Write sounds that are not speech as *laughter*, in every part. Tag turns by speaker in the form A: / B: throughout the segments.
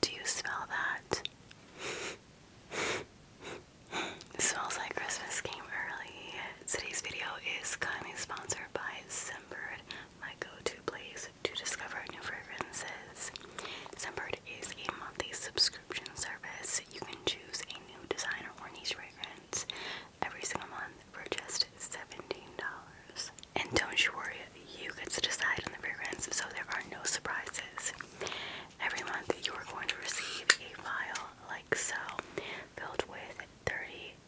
A: Do you smell that? it smells like Christmas came early. Today's video is kindly sponsored by Sempered, my go-to place to discover new fragrances. Sempered is a monthly subscription service. You can choose a new designer or niche fragrance every single month for just $17. And don't you worry you get to decide on the fragrance, so there are no surprises. Every month, you are going to receive a vial like so, filled with 30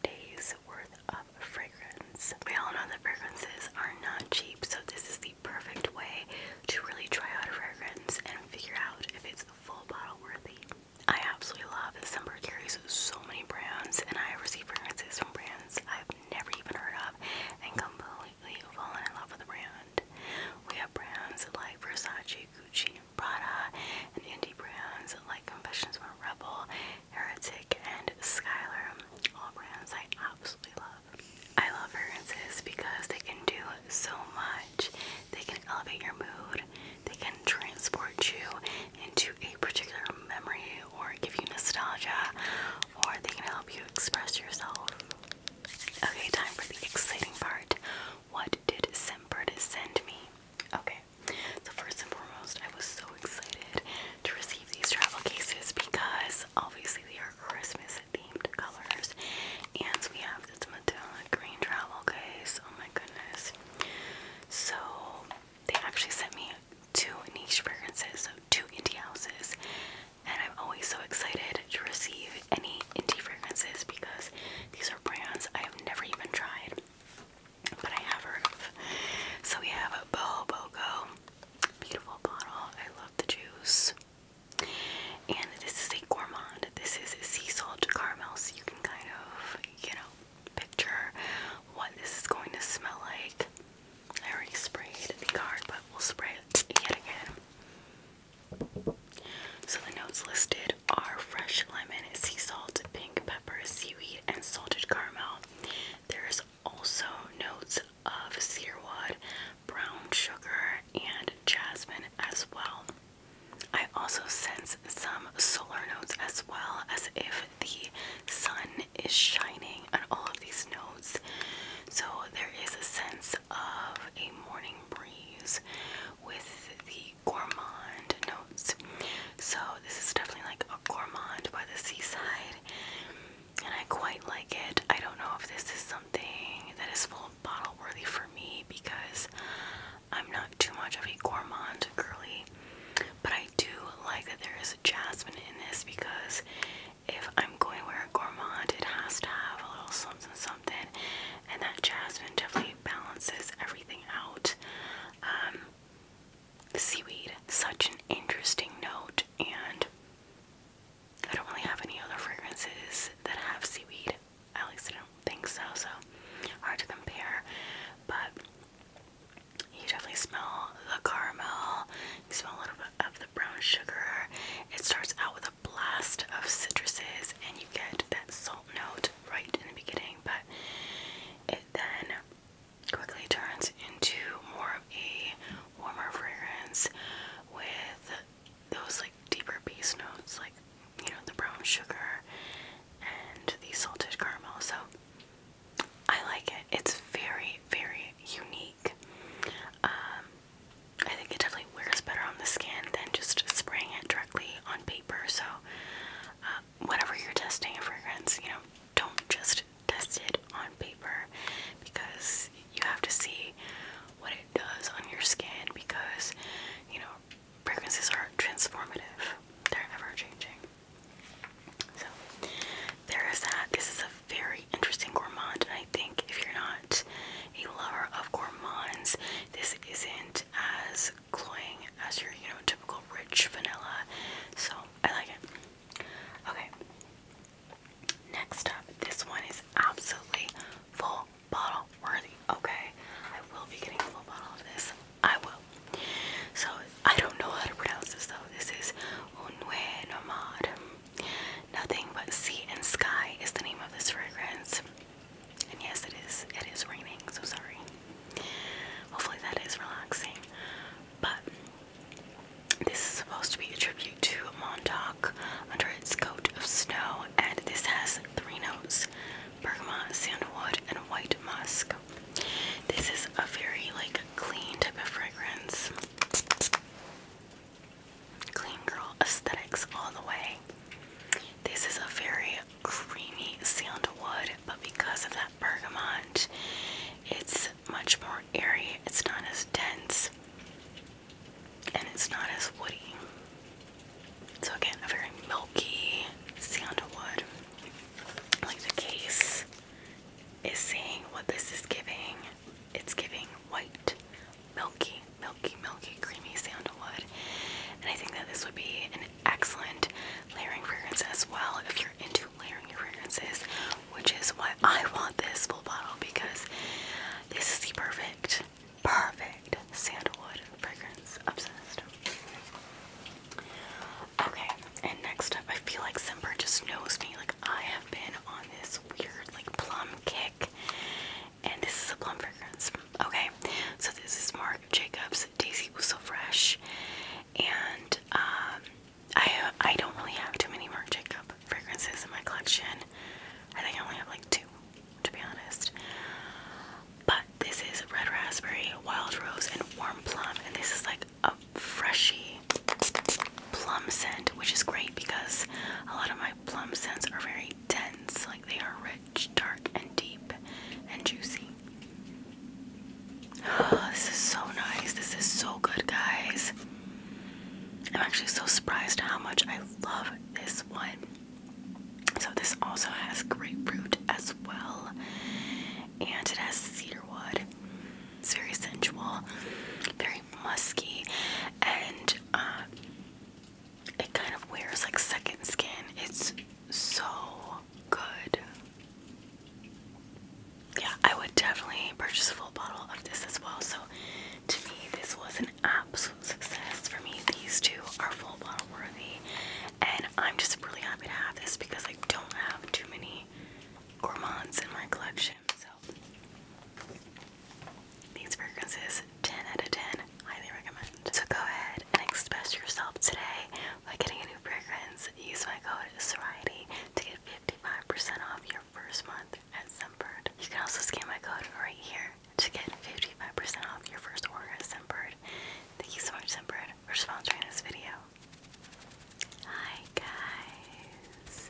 A: days worth of fragrance. We all know that fragrances are not cheap, so this is the perfect way to really try out a fragrance and figure out if it's full bottle worthy. I absolutely love that Semper carries so many brands, and I receive fragrances from brands I've never even heard of and completely completely fallen in love with the brand. We have brands like Versace, Gucci, Prada, and indie brands like Confessions from a Rebel, Heretic, and Skylar. All brands I absolutely love. I love fragrances because they can do so much. They can elevate your mood, they can transport you into a particular memory or give you nostalgia or they can help you express yourself. Okay, time for the exciting part. What did Semper send me? Okay, so first and foremost, I was so excited to receive these travel cases because obviously they are Christmas themed colors. And we have this metallic green travel case. Oh my goodness. So they actually sent me two niche fragrances, so two indie houses and I'm always so excited to receive any indie fragrances because these are brands I have never even tried, but I have heard of. So we have a Bohobogo, beautiful bottle. I love the juice. And this is a gourmand. This is sea salt caramel, so you can kind of, you know, picture what this is going to smell like. I already sprayed the card, but we'll spray it yet again. So the notes listed are fresh lemon, sea salt, pink pepper, seaweed, and salted caramel. There is also notes of cedarwood, brown sugar, and jasmine as well. I also sense some solar notes as well, as if the sun is shining on all of these notes. So there is a sense of a morning breeze with the gourmand notes. So this is definitely like a gourmand by the seaside, and I quite like it. I don't know if this is something that is full bottle worthy for me because I'm not too much of a gourmand girly, but I do like that there is a jasmine in this because if I'm going to wear a gourmand, it has to have a little something something, and that jasmine definitely balances everything out. Um, seaweed, such an interesting note, and I don't really have any other fragrances that have seaweed. At least I don't think so, so hard to compare. But you definitely smell the caramel. You smell a little bit of the brown sugar. It starts out with a blast of citruses, and you get that salt note right in the beginning, but it then quickly turns into more of a warmer fragrance with those like deeper base notes, like you know, the brown sugar and the salted caramel. So I like it. It's very, very unique. Um, I think it definitely wears better on the skin than just spraying it directly on paper. So, uh, whenever you're testing a fragrance, you know, don't just test it on paper because you have to see what it does on your skin because, you know, fragrances are transformative, they're ever changing. So, there is that. This is a very interesting gourmand, and I think if you're not a lover of gourmands, this isn't as cloying as your you know typical rich vanilla. So I like it. Okay. Next up, this one is absolutely full bottle worthy. Okay, I will be getting a full bottle of this. I will. So I don't know how to pronounce this though. This is Unwe Nomad. Nothing but sea and sky is the name of this fragrance. And yes, it is. It is raining, so sorry. Hopefully, that is relaxing. But this is supposed to be a tribute to Montauk under its coat of snow, and this has three notes bergamot, sandalwood, and white musk. This is a very like clean type of fragrance. Clean Girl aesthetics all the way. This is a very creamy sandalwood, but because of that bergamot, it's much more airy. It's not as dense and it's not as woody. So, again, a very milky sandalwood. Like the case is saying what this is giving it's giving white, milky, milky, milky, creamy sandalwood. And I think that this would be an excellent layering fragrance as well if you're into layering your fragrances, which is why I want this full bottle because this is the perfect, perfect sandalwood fragrance. Obsessed. Okay, and next up, I feel like Semper just knows me. Like I have been on this weird, like plum kick. And this is a plum fragrance. Okay, so this is Marc Jacobs Daisy Was Fresh. And um, I, I don't really have too many Marc Jacobs fragrances in my collection. I think I only have like two, to be honest. But this is Red Raspberry, Wild Rose, and Warm Plum. And this is like a freshy plum scent, which is great because a lot of my plum scents are very dense, like they are rich, dark, and deep and juicy. *gasps* this is so nice. This is so good, guys. I'm actually so surprised how much I love this one. So, this also has grapefruit as well, and it has cedar wood. It's very sensual, very musky and uh, it kind of wears like second skin. It's so good. Yeah, I would definitely purchase a full bottle of this as well. So to me, this was an absolute success. For me, these two are full bottle worthy. And I'm just really happy to have this because I don't have too many gourmands in my collection. So these fragrances, 10 out of 10, highly recommend. So go ahead and express yourself today by getting a new fragrance. Use my code Soriety to get 55% off your first month at Scentbird. You can also scan my code right here to get 55% off your first order at Scentbird. Thank you so much, Scentbird, for sponsoring this video. Hi guys,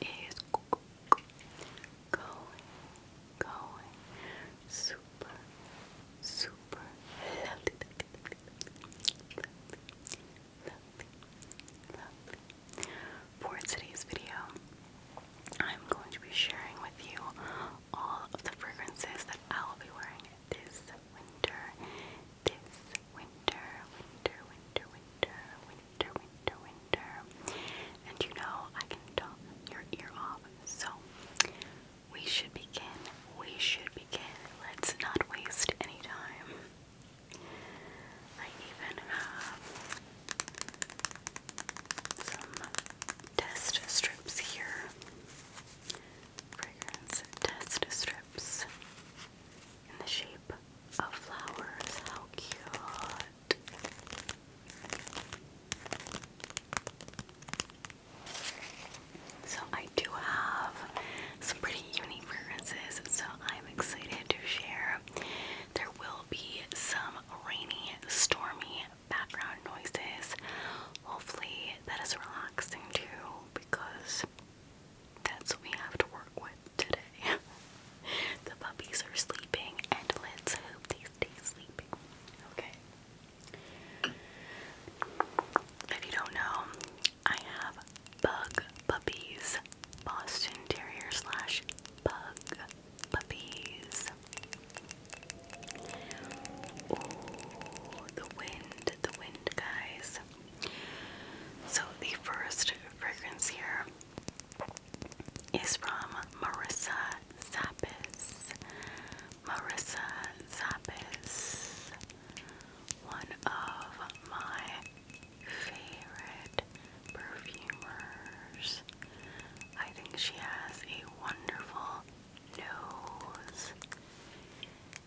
A: is going, going super, super For today's video, I'm going to be sharing with you all of the fragrances that I'll be wearing this winter, this winter, winter, winter, winter, winter winter, winter, winter. And you know, I can talk your ear off. So, we should begin. We should begin. Let's not waste any time. I even have some test strips here. Fragrance test strips in the shape of flowers. How cute! So, I do have some pretty unique fragrances, so I'm excited to share. There will be some rainy, stormy background noises. Hopefully, that is relaxing too, because that's what we have to work with today. *laughs* the puppies are sleeping, and let's hope they stay sleeping. Okay. If you don't know, I have bug puppies, Boston Terrier slash bug puppies. Oh, the wind, the wind, guys. So, the first fragrance here is from Marissa Sappis. Marissa Sappis, one of my favorite perfumers. I think she has a wonderful nose.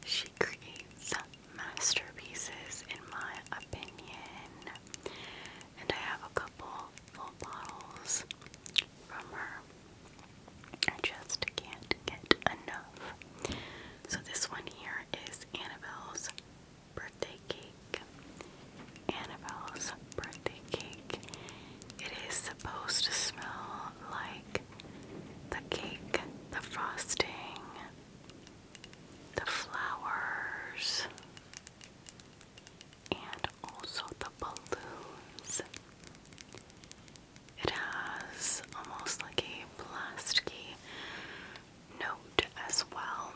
A: She creates masterpieces, in my opinion and I have a couple full bottles from her. I just can't get enough. So this one here is Annabelle's birthday cake. Annabelle's birthday cake. It is supposed to smell like the cake, the frosting, the flowers and also the balloons. It has almost like a plasticky note as well.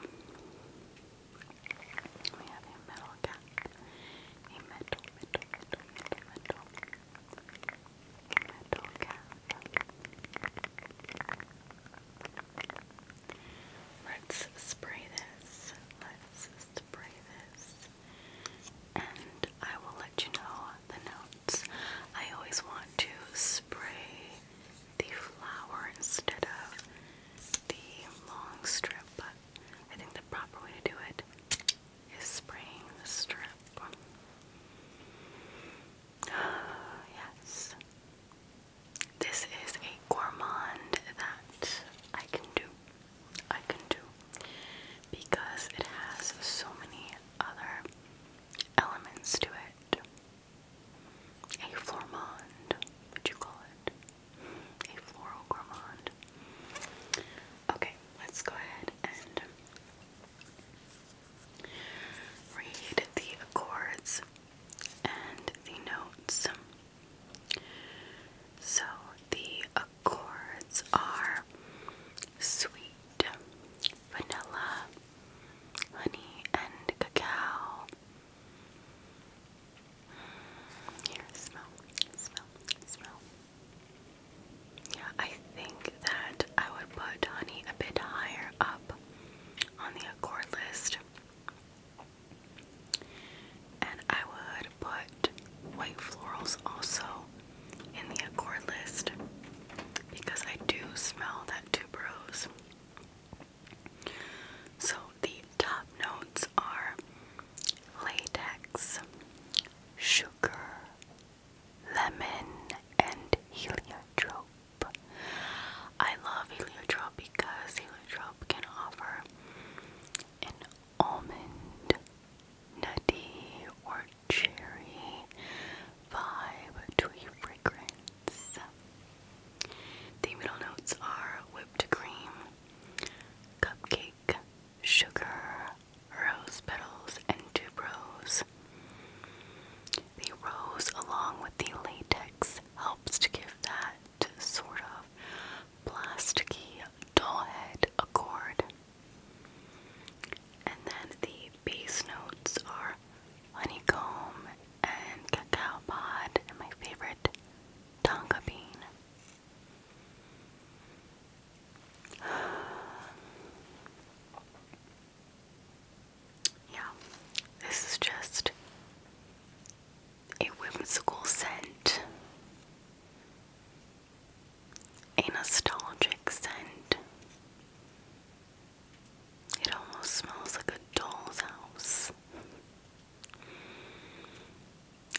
A: We have a metal cap, a metal, metal, metal, metal, metal cap. Let's spray this. Let's spray this. And I will let you know the notes. I always want to spray the flower instead of the long strip, but I think the proper way to do it is spraying the strip. *gasps* yes. This is a gourmand that I can do. I can do because it has so many other elements to it. A flormond, would you call it? A floral gourmand. Okay, let's go ahead and read the accords and the notes. So the accords are sweet, vanilla, honey, and cacao. Here, smell, smell, smell. Yeah, I think that I would put honey a bit higher up on the accord list. And I would put white florals also in the accord list because I do smell that tuberose. So the top notes are latex, sugar, lemon, and heliotrope. I love heliotrope because heliotrope can offer an almond, nutty, or cherry vibe to a fragrance. The middle notes are whipped cream, cupcake, sugar, rose petals, and tuberose. The rose, along with the latex this helps to give that sort of plasticky doll head accord. And then the bass notes are honeycomb and cacao pod and my favorite tonka bean. Yeah, this is just a whimsical scent, a nostalgic scent. It almost smells like a doll's house.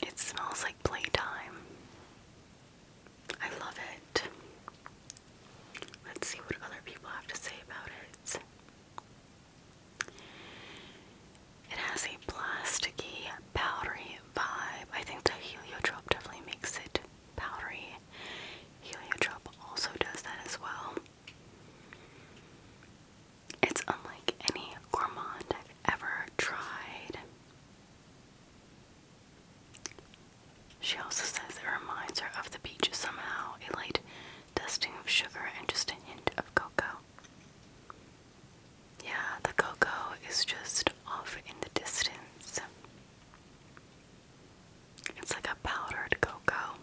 A: It smells like playtime. I love it. Let's see what other people have to say about it. It has a plasticky, powdery vibe. I think the heliotrope definitely makes it powdery. Heliotrope also does that as well. It's unlike any gourmand I've ever tried. She also says it reminds her of the beach somehow, a light dusting of sugar and just a hint of cocoa. Yeah, the cocoa is just off in the distance. It's like a powdered cocoa.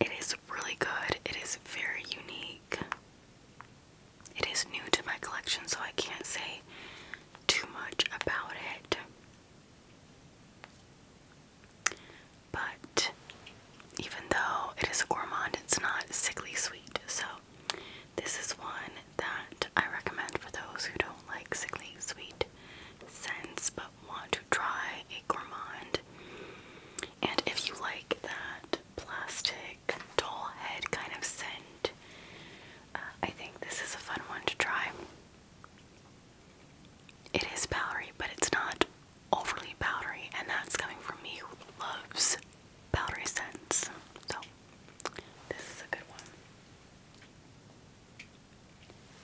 A: It is really good. It is very unique. It is new to my collection, so I can't say too much about it. But even though it is a gourmand, it's not sickly sweet. So this is one that I recommend for those who don't like sickly sweet scents but want to try a gourmand. And if you like that plastic doll head kind of scent, uh, I think this is a fun one to try. It is powdery, but it's not overly powdery, and that's coming from me who loves powdery scents. So, this is a good one.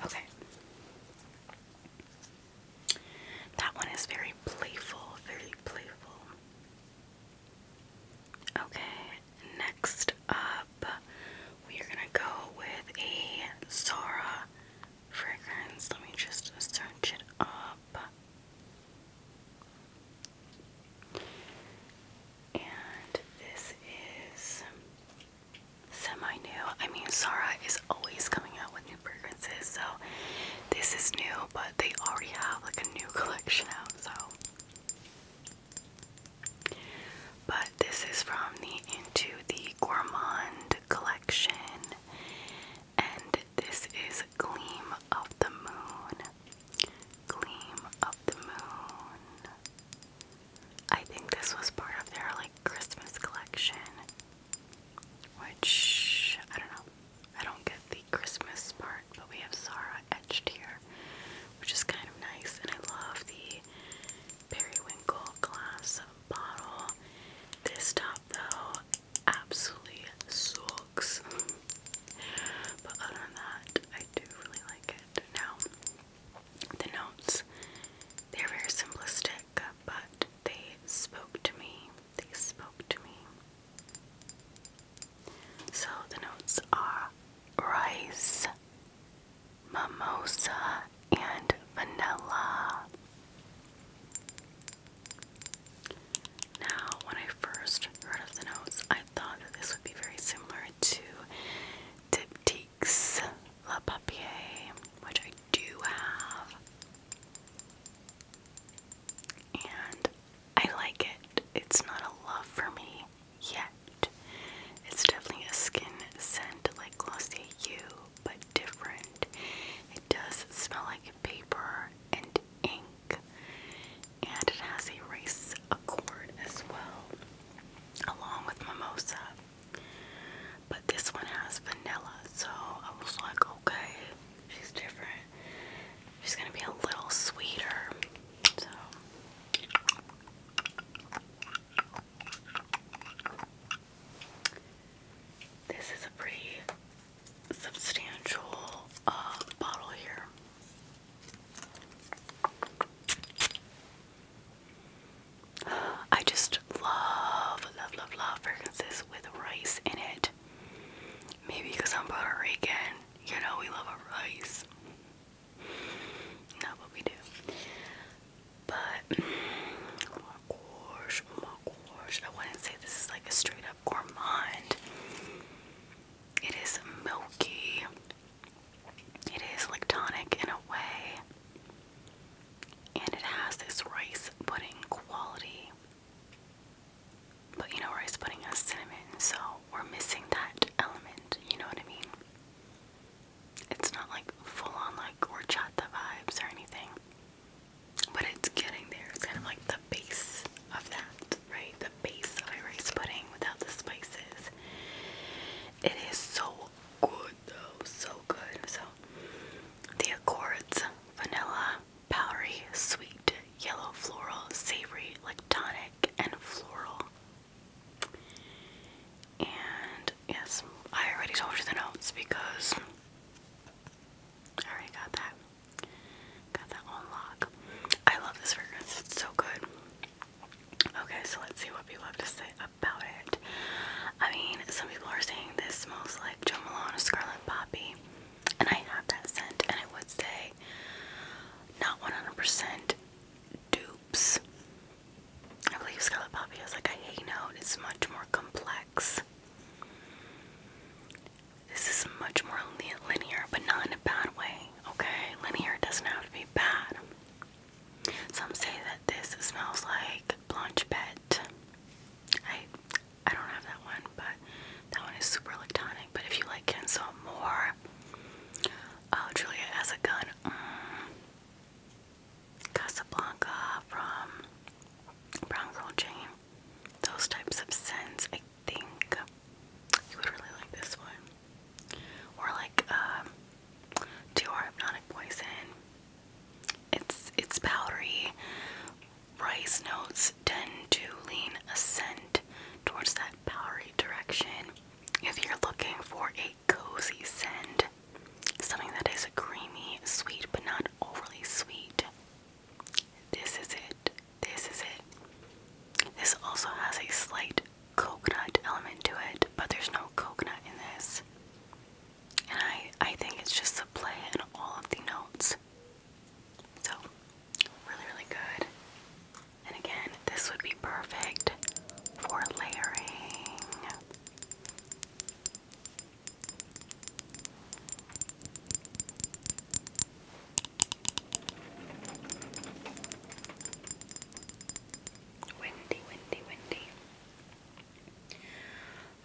A: Okay. That one is very playful, very playful. Okay, next up uh, we are gonna go with a Zara fragrance. Let me just search it up. And this is semi new. I mean, Zara is always coming out with new fragrances, so this is new, but they already have like a new *laughs* collection out, so but this is from the Into the Gourmand collection, and this is Gleam of the Moon. Gleam of the Moon. I think this was part of their like Christmas collection, which I don't know. I don't get the Christmas part, but we have Zara etched here, which is kind of nice. And I love the periwinkle glass bottle. This top though absolutely sucks. but other than that, I do really like it. Now the notes, they're very simplistic, but they spoke to me. They spoke to me. So the notes are rice, mimosa, and vanilla. Now, when I first heard of the notes, I thought this would be very similar to Diptyque's Le Papier, which I do have. And I like it. It's not a love for me yet. It's definitely a skin scent like Glossier U but different. It does smell like paper and ink, and it has a rice accord as well, along with mimosa. But this one has vanilla, so I was like, okay, she's different. She's gonna be a little sweeter. So this is a pretty substantial uh, bottle here. I just love, love, love, love fragrances with rice in it. Maybe because I'm Puerto Rican, you know, we love our rice. Not what we do. But, oh my gosh, oh my gosh. I wouldn't say this is like a straight up gourmand. It is milky. It is lactonic in a way. And it has this rice pudding quality. But you know, rice pudding has cinnamon, so we're missing that element. You know what I mean? It's not like full on like horchata vibes or anything, but it's getting there. It's kind of like the base of that, right? The base of a rice pudding without the spices. It is so good though, so good. So the accords vanilla, powdery, sweet, yellow, floral, savory, like tonic, and floral. And Yes, I already told you the notes because I already got that. Got that on I love this fragrance. It's so good. Okay, so let's see what people have to say about it. I mean, some people are saying this smells like Joe Malone Scarlet Poppy, and I have that scent, and I would say not 100% dupes I believe Scarlet Poppy has like a hay note. It's much more complex. This is much more linear, but not in a bad way. Okay, linear doesn't have to be bad. Some say that this smells like Blanche I I don't have that one, but that one is super electronic. But if you like Kenzo more, oh Julia has a gun. Mm. Casablanca, from Brown Bronco Jane, those types of scents. I think you would really like this one. Or like um, Dior Hypnotic Poison. It's it's powdery. Rice notes tend to lean a scent towards that powdery direction. If you're looking for a a cozy scent. Something that is creamy, sweet, but not overly sweet. This is it. This is it. This also has a slight coconut element to it, but there's no coconut in this. And I, I think it's just the play in all of the notes. So, really, really good. And again, this would be perfect for layering. Windy, windy, windy.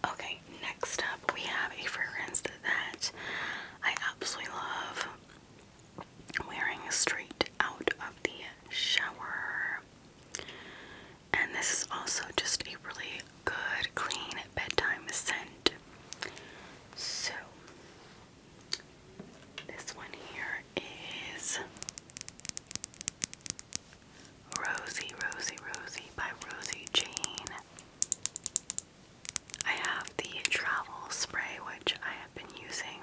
A: Okay, next up we have a fragrance that I absolutely love wearing straight out of the shower. And this is also just a really good, clean bedtime scent. So, this one here is Rosie, Rosie, Rosie by Rosie Jane. I have the travel spray, which I have been using,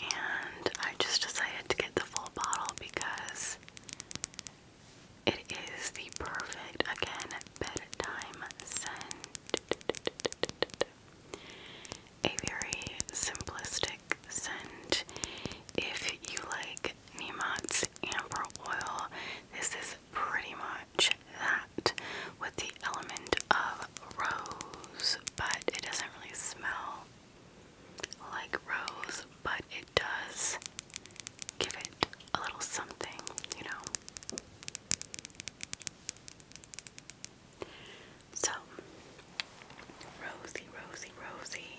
A: and I just decided to get the full bottle because it is the perfect, again, bedtime scent. A very simplistic scent. If you like Nemott's Amber Oil, this is pretty much that with the element of rose, but it doesn't really smell like rose, but it does give it a little something, you know. So, rosy, rosy, rosy.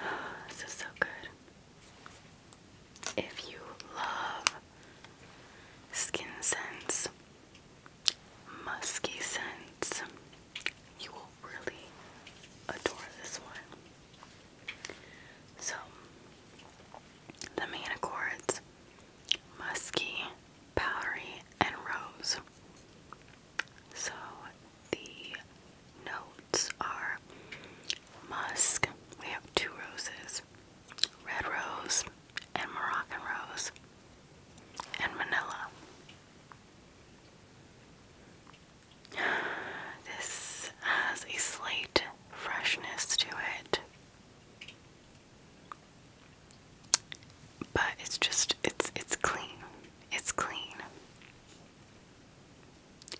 A: *gasps* this is so good. If you love skin scents, musky scents. You will really adore this one. So, the main accords musky, powdery, and rose. So, the notes are musk. We have two roses red rose and Moroccan Rose and Manila. This has a slight freshness to it. But it's just it's it's clean. It's clean.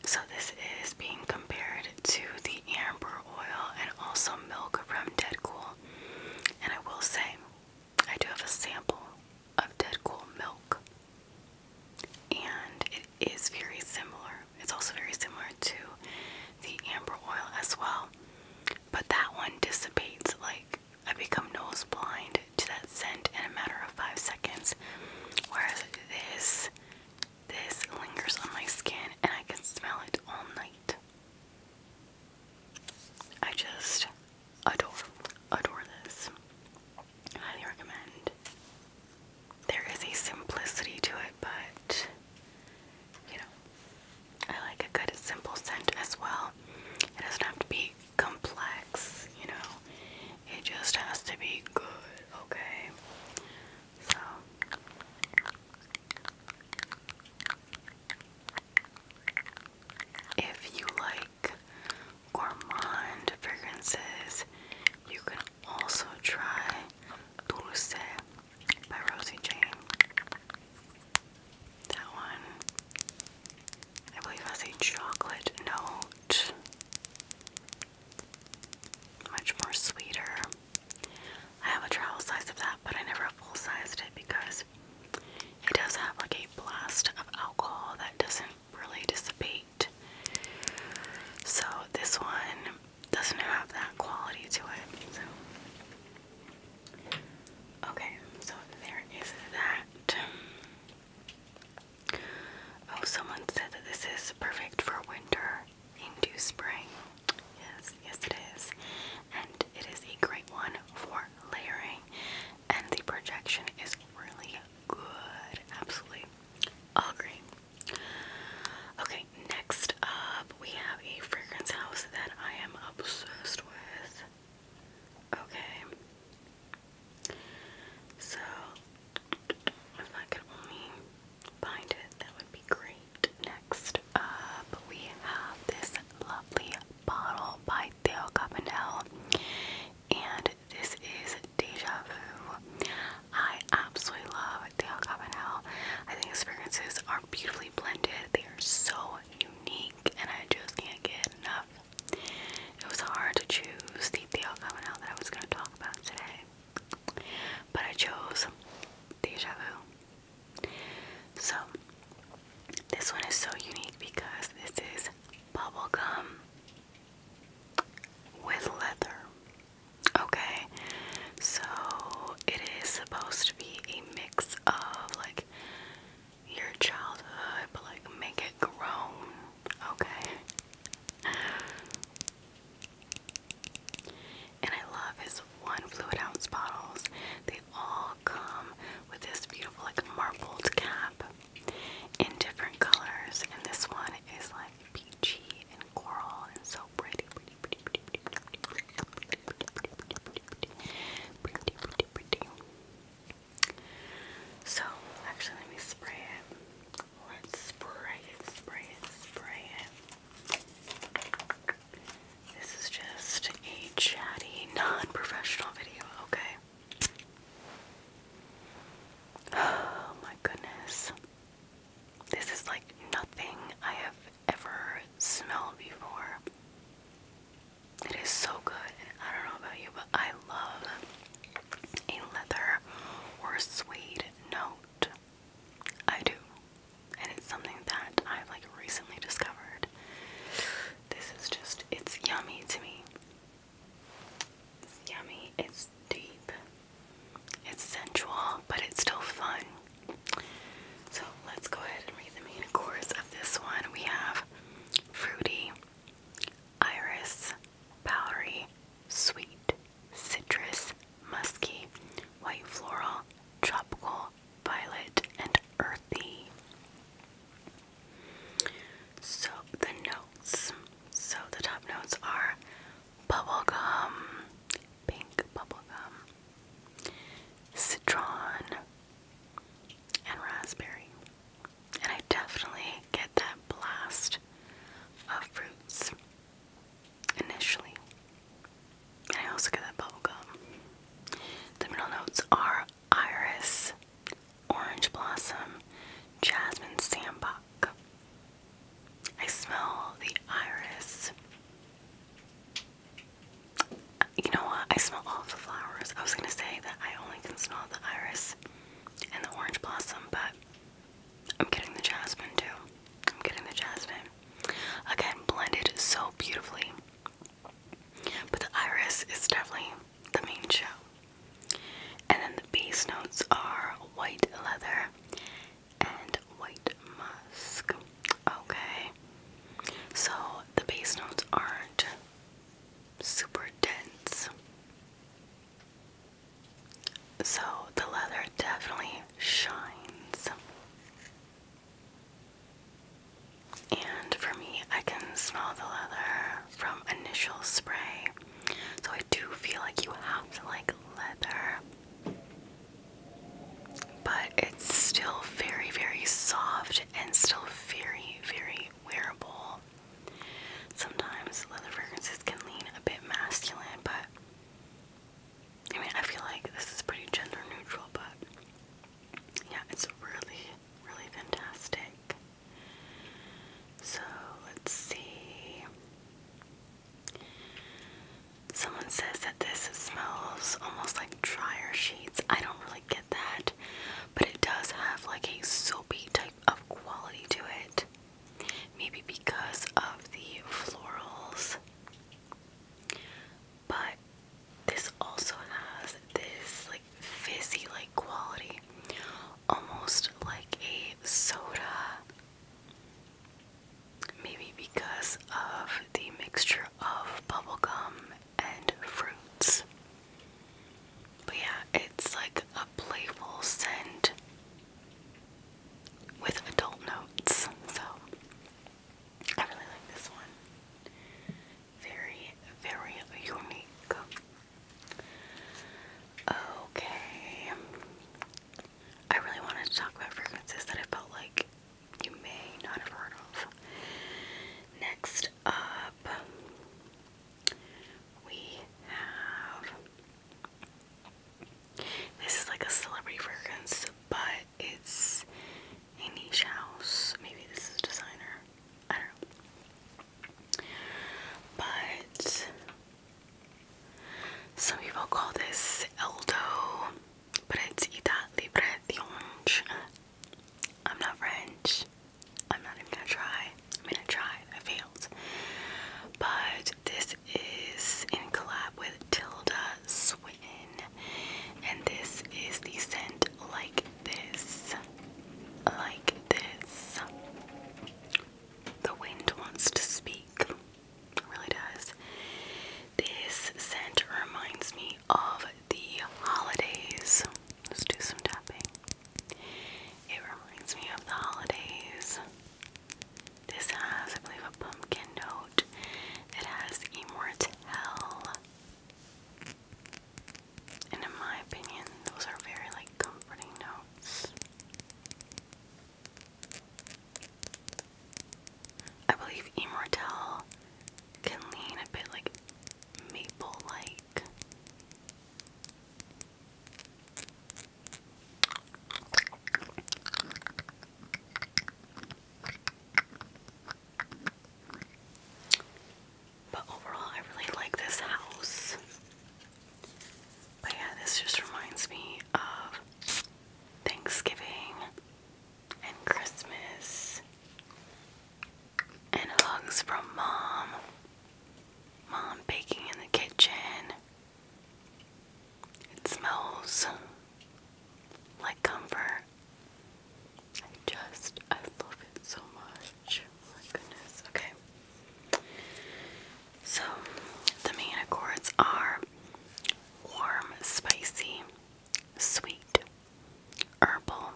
A: So this is being compared to the Amber oil and also milk from Dead Cool, And I will say, I do have a sample of Dead Cool milk, and it is very similar. It's also very similar to the amber oil as well, but that one dissipates like I become nose blind to that scent in a matter of five seconds, whereas this this lingers on my skin and I can smell it all night. I just adore, adore this. Highly recommend. There is a simplicity to it, but you know, I like a good simple scent as well. It doesn't have to be complex, you know, it just has to be good, okay? So, if you like gourmand fragrances, you can also try Dulce by Rosie Jane. That one, I believe, has a chocolate note, much more sweeter. I have a travel size of that, but I never full sized it because it does have like a blast of alcohol that doesn't really dissipate. So this one doesn't have that quality to it. So. Okay, so there is that. Oh, someone said that this is perfect for winter into spring. Yes, yes it is. And it is a great one for layering. And the projection is really good. Absolutely. Agree. Okay, next up we have a fragrance house that I am obsessed with. Okay. So if I could only find it, that would be great next up we have this lovely bottle by Theo Cabanel, and this is Deja Vu. I absolutely love Theo Cabanel. I think his fragrances are beautifully blended, they are so unique, and I just can't get enough. It was hard to choose the Theo Cabanel that I was going to talk about today, but I chose Deja Vu. So, this one is so unique because this is bubble gum with leather. Okay, so it is supposed to be a mix of like your childhood, but like make it grown. Okay. And I love his one fluid ounce bottles. They all come with this beautiful like marbled cap in different colors. And this one is like peachy and coral and so pretty. pretty, pretty, pretty, pretty, pretty, pretty, pretty, pretty, pretty, pretty, pretty. So actually let me spray it. Let's spray it, spray it, spray it. This is just a chatty, non professional video, okay? Oh my goodness. This is like nothing I have ever smelled before. It is so good, I don't know about you, but I love a leather or suede note. I do and it's something that I've like recently discovered. This is just, it's yummy to me. It's yummy, it's deep, it's sensual, but it's still fun. So let's go ahead and read the main course of this one. We have fruity, iris, powdery, sweet, citrus, musky, white floral, tropical, violet, and earthy. So the notes. So the top notes are bubblegum, pink bubblegum, citron, and raspberry. And I definitely get that blast of fruits initially. I also get that bubble The middle notes are iris, orange blossom, jasmine sandbuck. I smell the iris. You know what? I smell all the flowers. I was gonna say that I only can smell the iris and the orange blossom, but I'm getting the jasmine too. I'm getting the jasmine. Again, blended so beautifully but the iris is definitely the main show. And then the base notes are white leather and white musk. Okay. So the base notes aren't super dense. So the leather definitely shines. And for me, I can smell the leather from initial spray. So I do feel like you have to like leather. But it's still very, very soft and still very, very wearable. Sometimes leather fragrances can lean a bit masculine, but I mean, I feel like this is pretty gender neutral, but yeah, it's really, really fantastic. So let's see. Someone says that this smells almost like dryer sheets. I don't really get that, but it does have like a soapy type of quality to it. Maybe because of the florals but this also has this like fizzy like quality almost like a soda maybe because of the mixture of bubble gum and fruits but yeah it's like a playful scent with adult notes so I really like this one. Very, very unique. Okay. I really wanted to talk about fragrances that I felt like you may not have heard of. Next up, we have. This is like a celebrity fragrance, but it's a niche house. Maybe this is a designer. I don't know. But some people call this Eldo, but it's Etat Libre d'Orange. I'm not French. I'm not even gonna try. I mean, I tried, I failed. But this is in collab with Tilda Swinton, and this is the scent like this, like this. The wind wants to speak, really does. This scent reminds me of the holidays. Let's do some tapping. It reminds me of the holidays. This has, I believe, a pumpkin note. It has immortelle. And in my opinion, those are very like comforting notes. I believe Immortelle can lean a bit like maple like. But overall, I really like this house. But yeah, this just reminds me of Thanksgiving and Christmas and hugs from mom. Mom baking in the kitchen. It smells like comfort I just, I love it so much. Oh my goodness. Okay. So, the main accords are warm, spicy, sweet, herbal,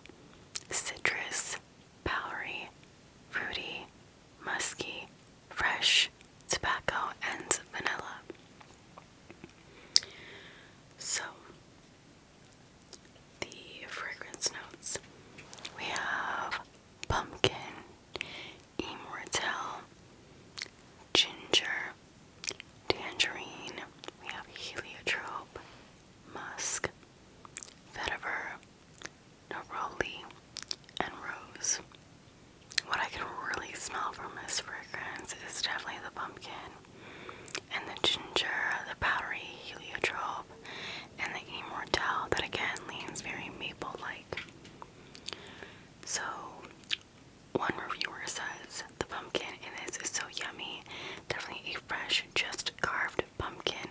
A: citrus, powdery, fruity, musky, fresh, tobacco, and vanilla. So, the fragrance notes. We have pumpkin, immortelle, ginger, tangerine, we have heliotrope, musk, vetiver, neroli, and rose. What I can really smell from this fragrance is definitely the pumpkin and the ginger, the powdery heliotrope, and the immortelle that again leans very maple like. So, one reviewer says the pumpkin in this is so yummy. Definitely a fresh, just carved pumpkin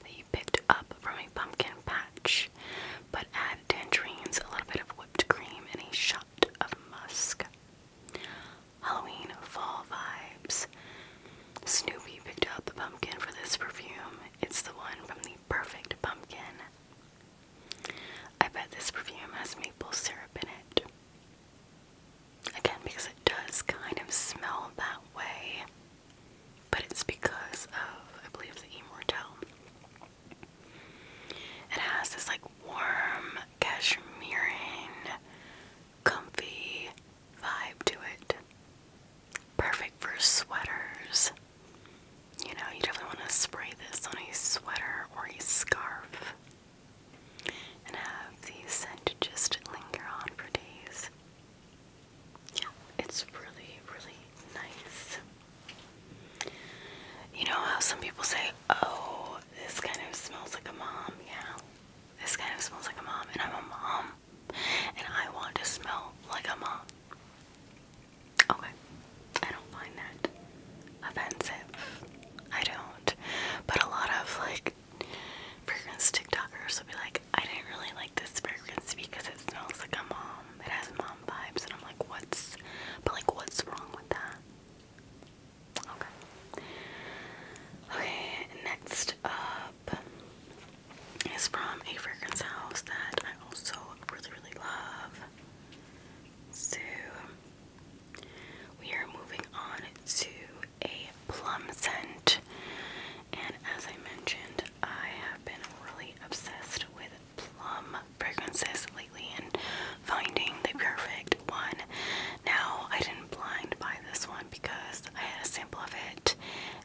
A: that you picked up from a pumpkin patch. But add tangerines, a little bit of whipped cream, and a shot of musk. Halloween fall vibes. Snoopy picked out the pumpkin for this perfume. It's the one from the perfect pumpkin. I bet this perfume has maple syrup in it. Again, because it does kind of smell that way, but it's because of, I believe, the Immortelle. It has this like warm cashmerean, comfy vibe to it. Perfect for sweaters. You know, you definitely want to spray this on a sweater or a scarf and have the scent just linger on for days. Yeah, it's really, really nice. You know how some people say, oh, this kind of smells like a mom. Yeah, this kind of smells like a mom, and I'm a mom, and I want to smell like a mom. Okay, I don't find that offensive. I don't. But a lot of like fragrance TikTokers will be like, I didn't really like this fragrance because it smells like a mom. It has mom vibes, and I'm like, what's? But like, what's wrong with that? Okay. Okay, next up is from a fragrance house that I also really, really love. So we are moving on to a plum scent. And as I mentioned, I have been really obsessed with plum fragrances lately and finding the perfect one. Now, I didn't blind buy this one because I had a sample of it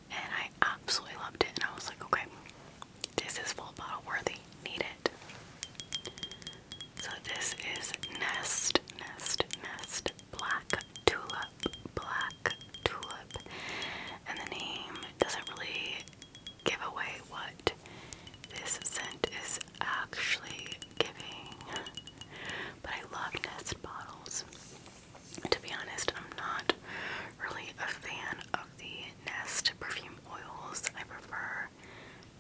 A: and I absolutely loved it. And I was like, okay, this is full bottle worthy. Need it. So, this is Nest, Nest, Nest Black Tulip, Black Tulip. And the name doesn't really give away what this scent is actually giving. But I love Nest bottles. To be honest, I'm not really a fan of the Nest perfume oils. I prefer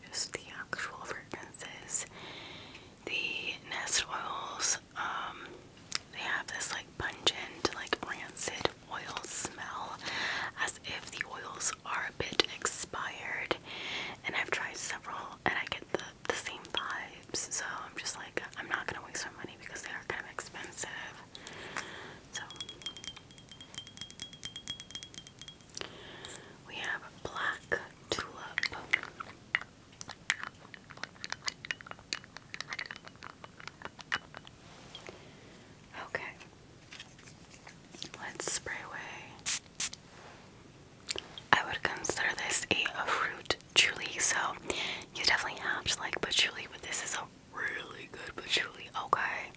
A: just the actual fragrances. The Nest oils, um, they have this like pungent, like rancid oil smell, as if the oils are a bit expired. And I've tried several, and I get the the same vibes. So I'm just like, I'm not gonna waste my money because they are kind of expensive. So we have black tulip. Okay. Let's spray away I would consider this a, fruit patchouli, so you definitely have to like patchouli, but this is a really good patchouli, okay?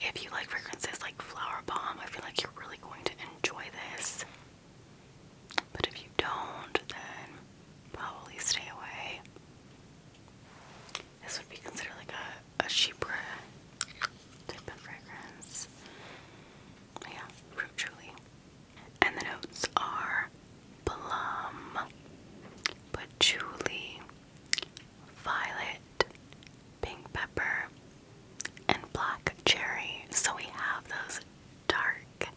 A: If you like fragrances like Flower Bomb, I feel like you're really going to enjoy this. But if you don't, then probably stay away. This would be considered like a, a cheaper type of fragrance. Yeah, fruit truly. And the notes are plum, patchouli, violet, pink pepper, and black cherry. So we have those dark,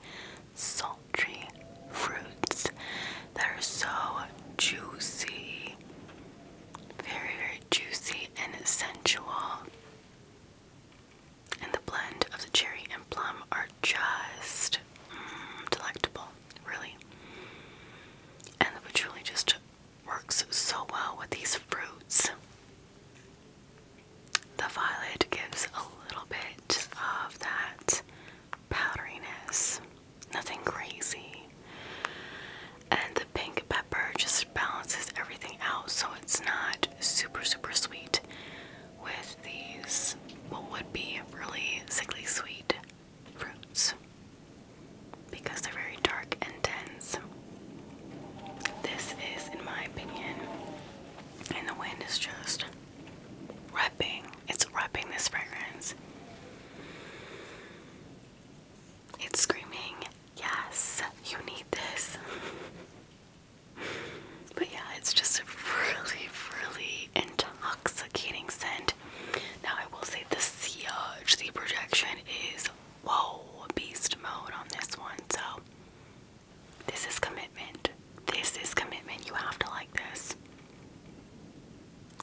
A: sultry fruits that are so juicy. Very, very juicy and sensual. And the blend of the cherry and plum are just mm, delectable, really. And the patchouli just works so well with these fruits. The violet gives a little bit of that powderiness, nothing crazy and the pink pepper just balances everything out so it's not super super sweet with these what would be really sickly sweet fruits because they're very dark and dense. This is, in my opinion, and the wind is just repping. It's wrapping this fragrance. It's screaming Yes, you need this. *laughs* but yeah, it's just really, really intoxicating scent. Now, I will say the CHC projection is whoa, beast mode on this one. So, this is commitment. This is commitment. You have to like this.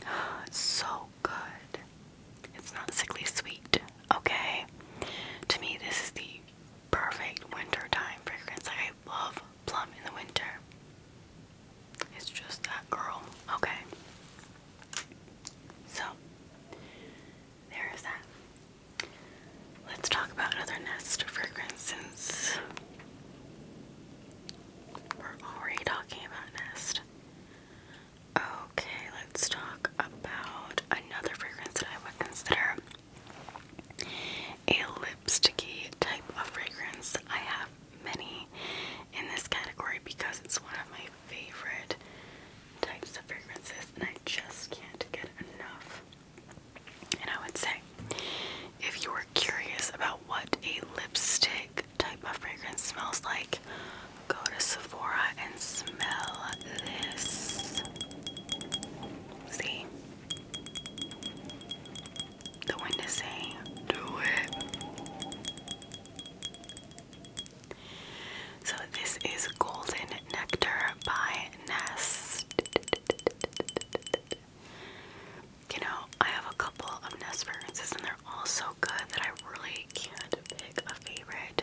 A: *gasps* so good. It's not sickly sweet, okay? To me, this is the perfect wintertime fragrance. Like, I love plum in the winter. It's just that girl, okay? So, there is that. Let's talk about another nest fragrance since we're already talking about nest. Okay, let's talk about another fragrance that I would consider a lipstick type of fragrance. I have many in this category because it's one of my favorite types of fragrances and I just can't get enough. And I would say if you were curious about what a lipstick type of fragrance smells like, Go to Sephora and smell this. See? The wind is saying, do it. So this is Golden Nectar by Nest. You know, I have a couple of Nest fragrances and they're all so good that I really can't pick a favorite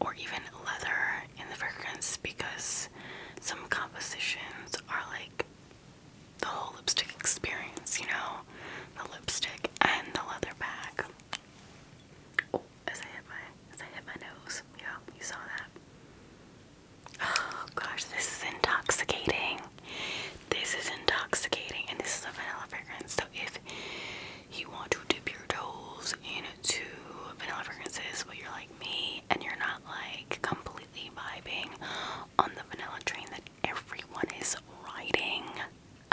A: or even leather in the fragrance because some compositions are like the whole lipstick experience, you know? The lipstick and the leather bag. Oh, as I hit my as I hit my nose. Yeah, you saw that. Oh gosh, this is intoxicating. This is intoxicating and this is a vanilla fragrance. So if you want to dip your toes in to vanilla fragrances, but you're like me and you're not like completely vibing on the vanilla train that everyone is riding.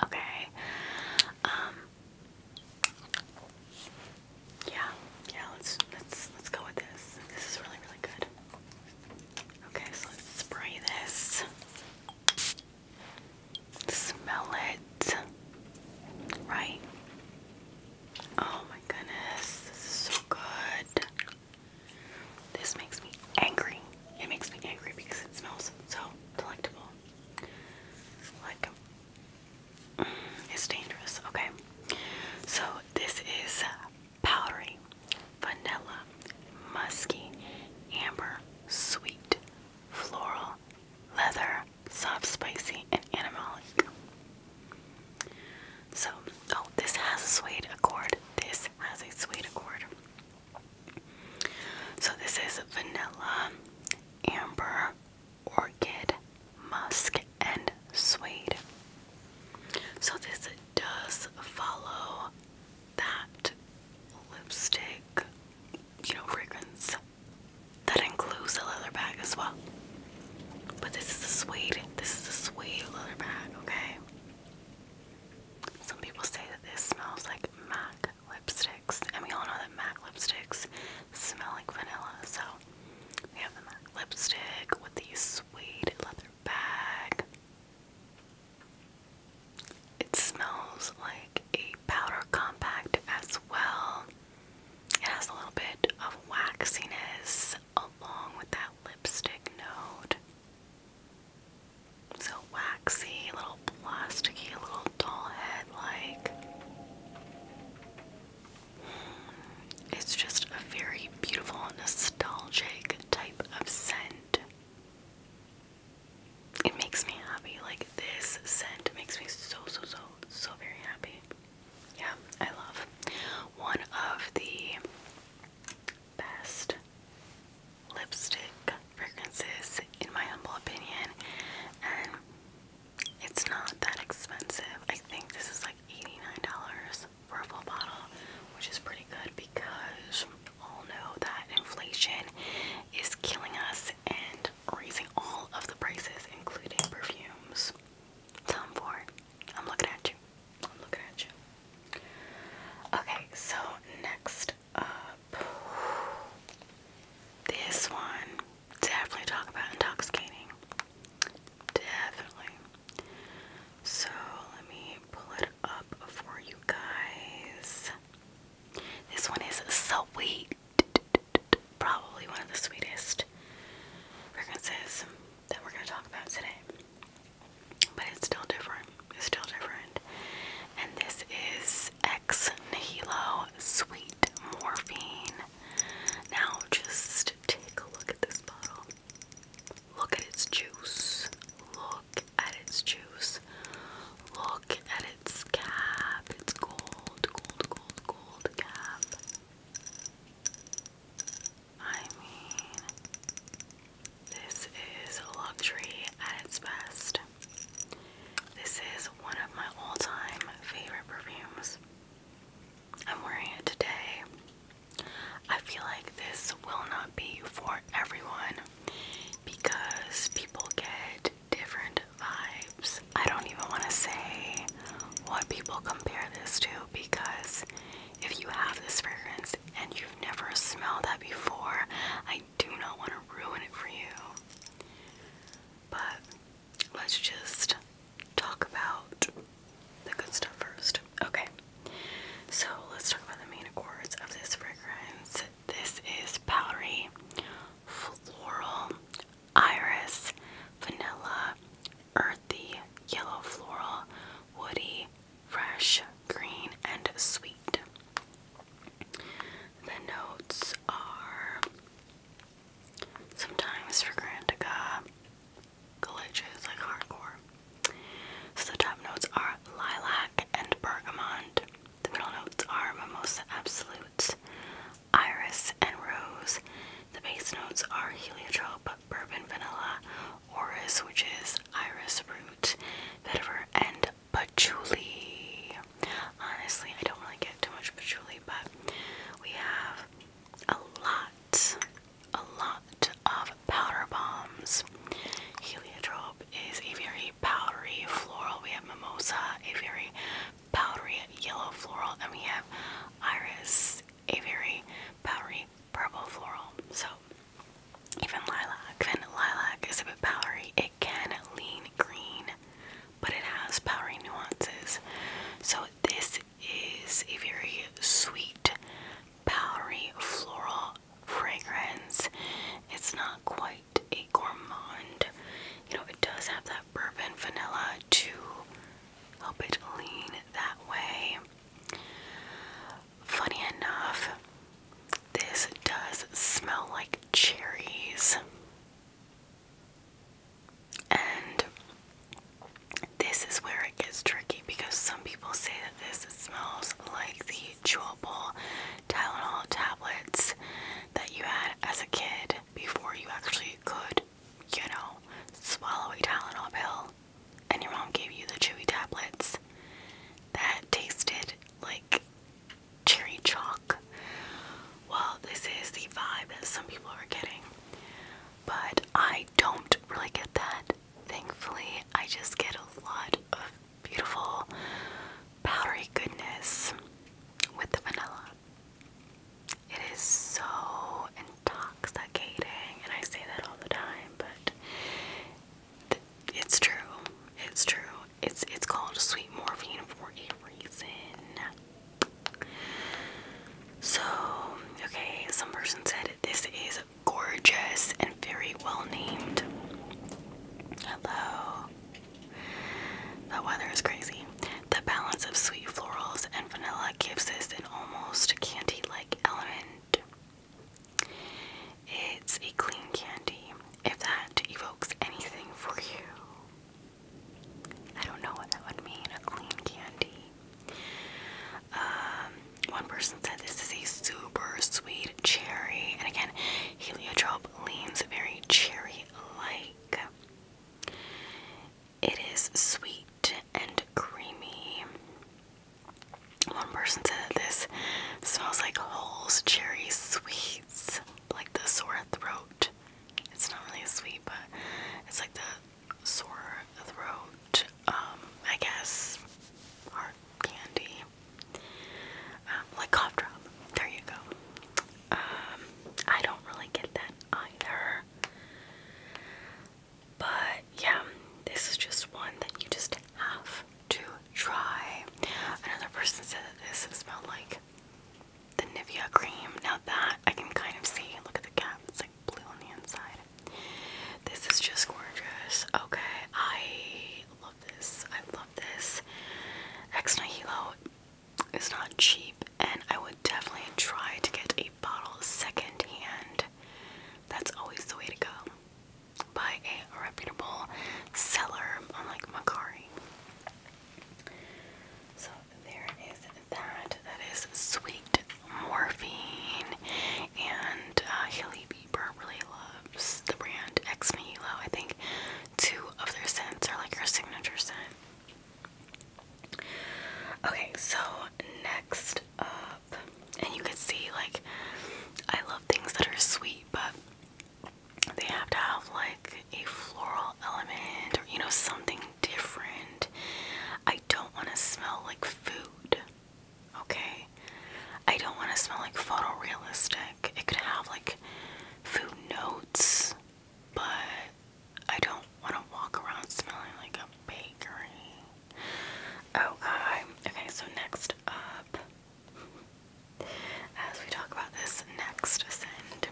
A: Okay. Um, yeah, yeah, let's let's let's go with this. This is really, really good. Okay, so let's spray this. Smell it. Right? Oh my goodness, this is so good. This makes me angry. It makes me angry because it smells so delectable. Like, mm, it's dangerous. Okay. So, this is powdery, vanilla, musky, amber, sweet, floral, leather, soft, spicy, and animalic. So, oh, this has a suede accord. This has a suede accord. So, this is vanilla, amber, orchid, musk, and suede. So, this does follow that lipstick, you know, fragrance that includes the leather bag as well. But this is a suede. This is a suede leather bag, okay? Some people say that this smells like MAC lipsticks. And we all know that MAC lipsticks smell like vanilla. So we have the MAC lipstick with the suede leather bag. It smells like a powder compact as well. It has a little bit of waxiness along with that lipstick note. So waxy, little plasticky, little doll head like. Hmm, it's just a very beautiful, nostalgic type of scent. It makes me happy. Like this scent makes me so, so, so, so very happy. Yeah, I love one of the best lipstick fragrances, in my humble opinion, and it's not that expensive. I think this is like $89 for a full bottle, which is pretty good because all know that inflation is killing us and raising all of the prices, including perfumes. Tom Ford. I'm looking at you. I'm looking at you. Okay, so next up, this one definitely talk about intoxicating. Definitely. So let me pull it up for you guys. This one is so sweet probably one of the sweetest fragrances that we're going to talk about today. But it's still different. It's still different. And this is Ex Nihilo Sweet Morphine. Now, just take a look at this bottle. Look at its juice. Look at its juice. Look at its cap. It's gold, gold, gold, gold cap. I mean, this is luxury at its best. This is one of my all time favorite perfumes. I'm wearing it today. I feel like this will not be for everyone because people get different vibes I don't even want to say what people compare this to because if you have this fragrance and you've never smelled that before, I do not want to ruin it for you. But let's just talk about the good stuff first. Okay. So let's talk about the main accords of this fragrance. This is powdery, floral, iris, vanilla, earthy, yellow floral, woody, fresh, green, and sweet. The notes are sometimes fragrantica, glitches like hardcore. So the top notes are lilac and bergamot. The middle notes are mimosa absolutes, iris, and rose. The base notes are heliotrope, bourbon vanilla, orris, which is iris root, vetiver, and patchouli. Honestly, I don't really get too much patchouli, but we have a lot, a lot of powder bombs. Heliotrope is a very powdery floral. We have mimosa, a very powdery yellow floral, and we have iris, a very powdery purple floral. So even lilac, even lilac is a bit powdery. It can lean green, but it has powdery nuances. So this is a very sweet, powdery floral fragrance. It's not quite a gourmand. You know, it does have that bourbon vanilla to help it lean that way. Funny enough, this does smell like cherries. And this is where it gets tricky because some people say that this smells like the chewable Tylenol tablets that you had as a kid before you actually could you know, swallow a Tylenol pill and your mom gave you the chewy tablets that tasted like cherry chalk. Well, this is the vibe that some people are getting, but I don't really get that. Thankfully, I just get a lot of beautiful powdery goodness with the vanilla. It is so intoxicating, and I say that all the time, but it's true. It's true. It's it's called sweet morphine for a reason. So, okay, some person said this is gorgeous and very well named. Hello. The weather is crazy. The balance of sweet florals and vanilla gives this an almost candy like element. It's a clean candy, if that evokes anything for you. I don't know what that would mean, a clean candy. Um, one person said this is a super sweet cherry, and again, heliotrope leans very cherry like. It is sweet and creamy. One person said this smells like Holes cherry sweets, like the sore throat. It's not really sweet, but it's like the sore throat, um, I guess, hard candy. Um, like cough drop. There you go. Um, I don't really get that either. But yeah, this is just one that you just have to try. Another person said that this smelled like the Nivea cream. Now that I can kind of see, look at the cap, it's like blue on the inside. This is just gorgeous. Okay, I love this. I love this. Ex Nihilo is not cheap, and I would definitely try to get a bottle secondhand. That's always the way to go. Buy a reputable seller on like Macari. So there is that. That is sweet morphine. And uh, Hilly Bieber really loves the brand Ex Nihilo. I think two of their scents are like her signature scent. Okay, so next up, and you can see like I love things that are sweet, but they have to have like a floral element or you know something different. I don't want to smell like food. Okay. I don't want to smell like photorealistic. It could have like food notes, but I don't want to walk around smelling like a bakery. okay. Oh, um, okay, so next up, *laughs* as we talk about this next scent,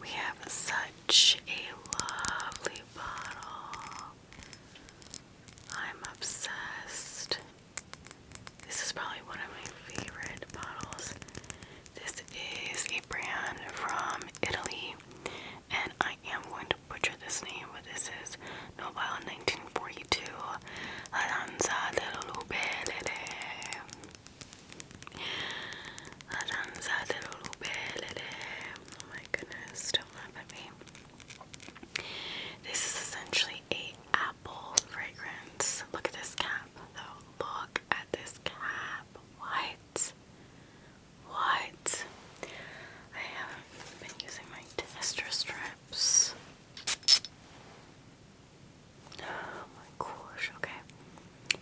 A: we have such a lovely bottle. I'm obsessed. This is probably one of my favorite bottles. This is a brand from Italy, and I am going to butcher this name, but this is Nobile 1942. La danza lubelele. La danza lubelele. Oh my goodness, don't me. This is essentially a apple fragrance. Look at this cap Look at this cap. What? What? I haven't been using my tester strips. Oh my gosh, okay.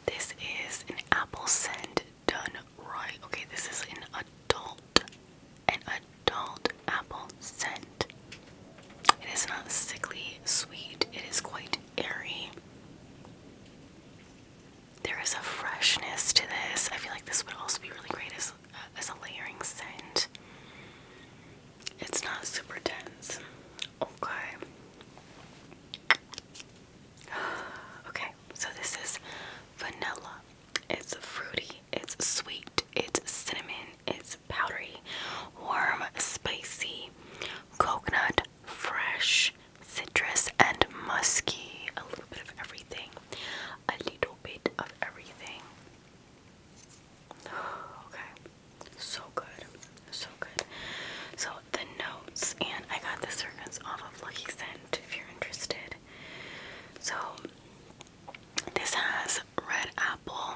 A: This is an apple scent done right. Okay, this is an adult, an adult apple scent. It is not sickly sweet, it is quite airy there is a freshness to this. I feel like this would also be really great as uh, as a layering scent. It's not super dense. Okay. *sighs* Okay, so this is vanilla. It's fruity, it's sweet, it's cinnamon, it's powdery, warm, spicy, coconut, fresh, citrus and musky, a little bit of everything, a little bit of everything. *sighs* Okay, so good, so good. So the notes, and I got the fragrance off of Lucky Scent if you're interested. So this has red apple,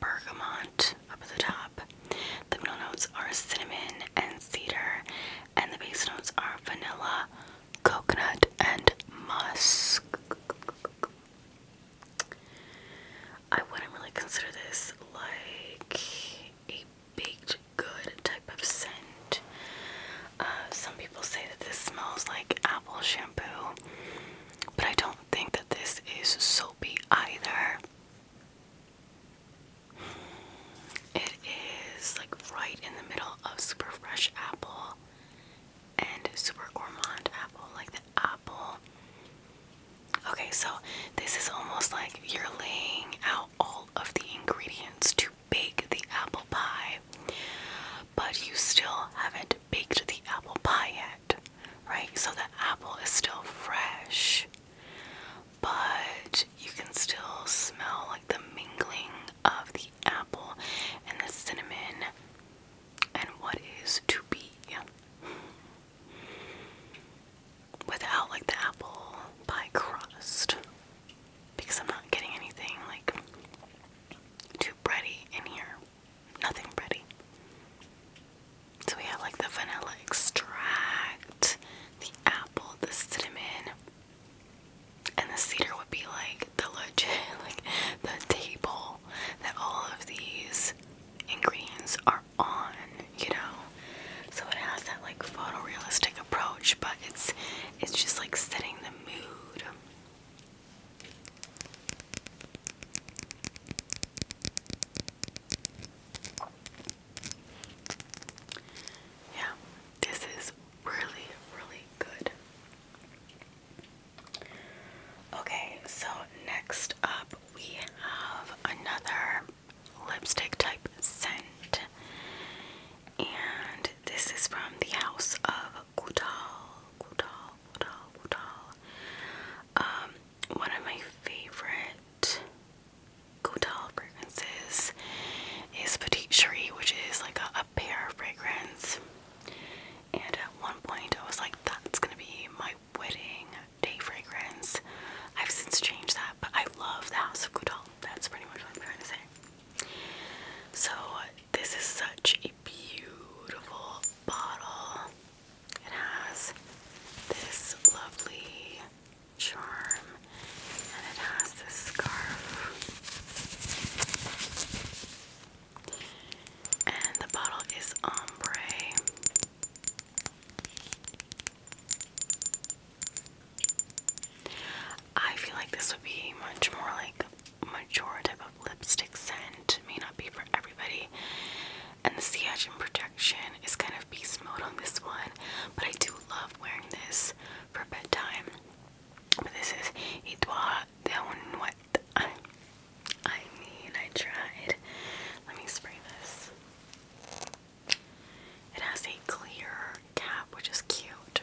A: bergamot up at the top. The middle notes are cinnamon and cedar, and the base notes are vanilla, coconut, and musk. I wouldn't really consider this like a baked good type of scent. Uh, some people say that this smells like apple shampoo, but I don't think that this is soapy either. It is like right in the middle of super fresh apple and super gourmand apple, like the apple. Okay, so this is almost like you're laying out all of the ingredients to bake the apple pie, but you still haven't baked the apple pie yet, right? So the apple is still fresh, but you can still smell like the mingling of the apple and the cinnamon and what is to be without like the apple pie crust because I'm not getting anything like too bready in here. Nothing bready. So we have like the vanilla extract, the apple, the cinnamon, and the cedar would be like the legit, *laughs* like the table that all of these ingredients are on, you know. So it has that like photorealistic approach, but it's it's just like setting the mood. Yeah, this is really, really good. Okay, so next up we have another lipstick type scent, and this is from the house of Goutal. Goutal, Goutal, Goutal. Um, one of my favorite Goutal fragrances is Petite Cherie, which is like a, a pear fragrance. And at one point, I was like, that's gonna be my wedding day fragrance. I've since changed that, but I love the House of Coutal. That's pretty much what I'm trying to say. So, this is such a beautiful bottle. It has this lovely charm and it has this scarf. And the bottle is ombre. I feel like this would be much more like mature of lipstick scent. May not be for everybody. And the sea urchin protection is kind of beast mode on this one, but I do love wearing this for bedtime this is Itwa de Unwet. I mean, I tried. Let me spray this. It has a clear cap, which is cute.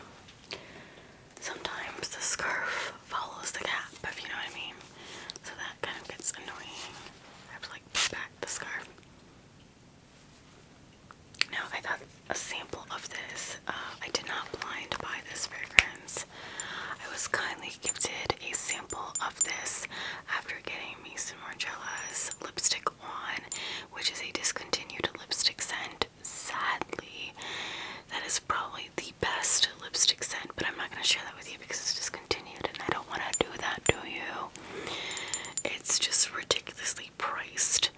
A: Sometimes the scarf follows the cap, if you know what I mean. So that kind of gets annoying. I have to like put back the scarf. Now I got a sample of this. Uh, I did not blind buy this fragrance. I was kindly gifted a sample of this after getting me some Margiela's lipstick on, which is a discontinued lipstick scent. Sadly, that is probably the best lipstick scent, but I'm not going to share that with you because it's discontinued and I don't want to do that to you. It's just ridiculously priced.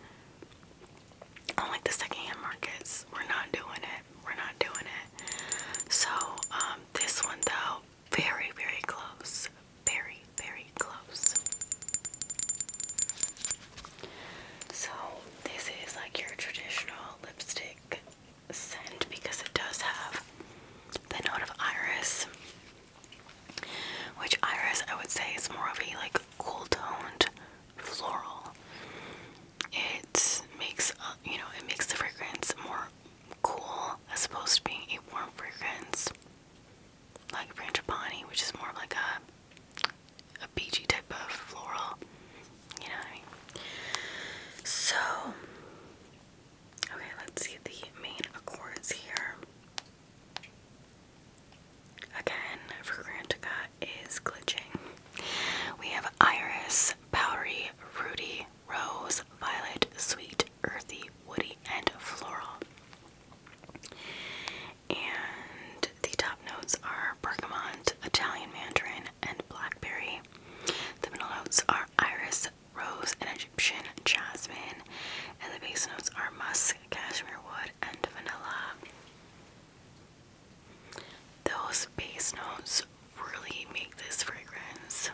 A: I like the secondhand markets, we're not doing it. We're not doing it. So um, this one though, very very close, very very close. So this is like your traditional lipstick scent because it does have the note of iris, which iris I would say is more of a like cool toned floral. It makes uh, you know it makes the fragrance more cool as opposed to being a warm fragrance like frangipani, which is more like a a beachy type of floral. You know So okay, let's see the main accords here. Again, Fragrantica is glitching. We have Iris, Bowery, Rudy, Rose, Violet, Sweet, Earthy, Woody, and Floral. And the top notes are bergamont, Italian mandarin, and blackberry. The middle notes are iris, rose, and Egyptian jasmine. And the base notes are musk, cashmere wood, and vanilla. Those base notes really make this fragrance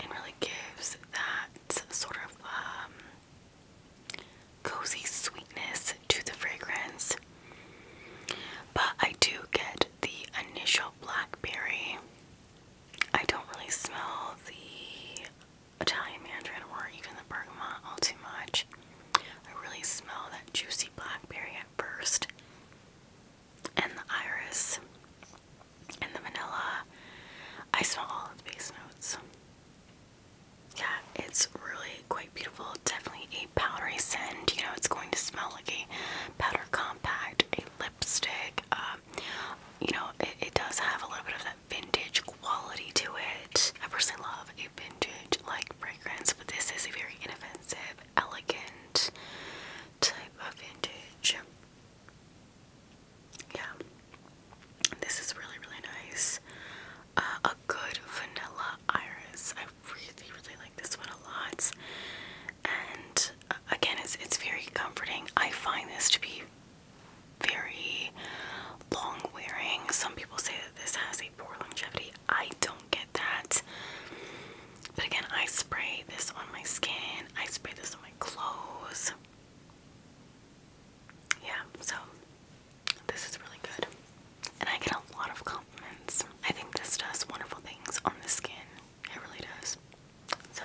A: and really gives that sort of um, cozy sweetness to the fragrance. But I do get the initial blackberry. I don't really smell the Italian Mandarin or even the bergamot all too much. I really smell that juicy blackberry at first, and the iris, and the vanilla. I smell all of the base notes. Yeah, it's really quite beautiful. Definitely a powdery scent. You know, it's going to smell like a powder compact, a lipstick. Um, you know, it does have a little bit of that vintage quality to it. I personally love a vintage like fragrance, but this is a very inoffensive, elegant type of vintage. Yeah, this is really, really nice. Uh, a good vanilla iris. I really, really like this one a lot. And uh, again, it's, it's very comforting. I find this to be very long wearing. Some people say that this has a poor longevity. I don't get that. But again, I spray this on my skin, I spray this on my clothes. Yeah, so this is really good. And I get a lot of compliments. I think this does wonderful things on the skin. It really does. So,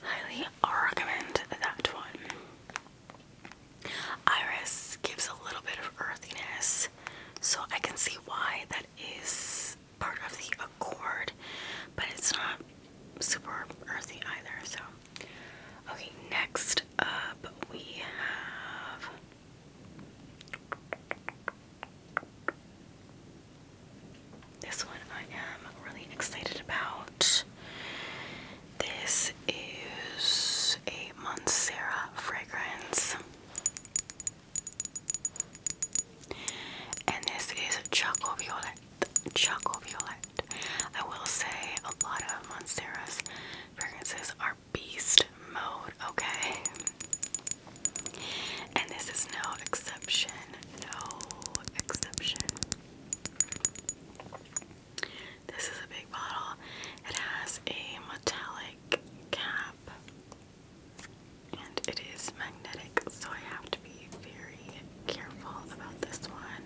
A: highly recommend that one. Iris gives a little bit of earthiness, so I can see why that is part of the accord, but it's not super earthy either. So, okay, next up we have. This one I am really excited about. This is a Montserrat fragrance. And this is Choco Violet. Choco Violet. I will say a lot of Montserrat's fragrances are beast mode, okay? And this is no exception. No exception. This is a big bottle. It has a metallic cap and it is magnetic, so I have to be very careful about this one.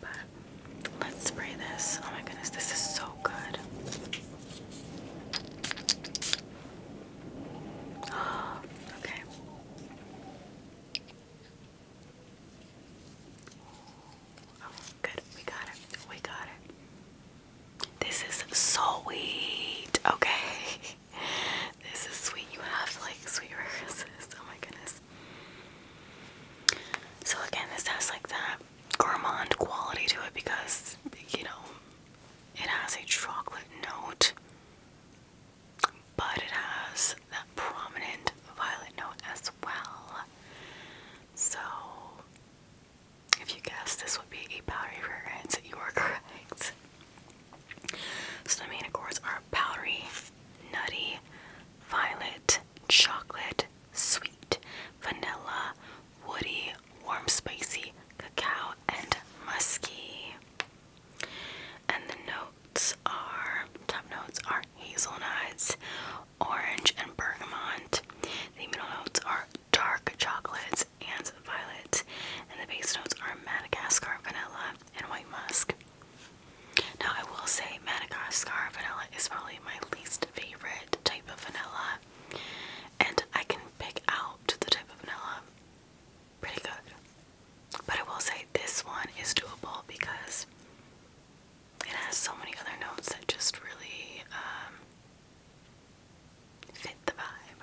A: But let's spray this. Oh my goodness, this is so good. *gasps* okay. Oh, good. We got it. We got it. This is so sweet. Okay. *laughs* This is sweet. You have like sweet references. Oh my goodness. So again, this has like that gourmand quality to it because you know it has a chocolate note, but it has that prominent violet note as well. So, if you guessed this would be a powdery fragrance, you are *laughs* correct. So, the main accords are powdery, nutty, violet, chocolate, sweet, vanilla, woody, warm, spicy, cacao, and musky. And the notes are top notes are hazelnuts, orange, and bergamot. The middle notes are dark chocolate and violet, and the base notes are Madagascar vanilla and white musk. Now, I will say Madagascar vanilla is probably my least favorite type of vanilla, and I can pick out the type of vanilla pretty good. But I will say this one is doable because it has so many other notes that just really um, fit the vibe.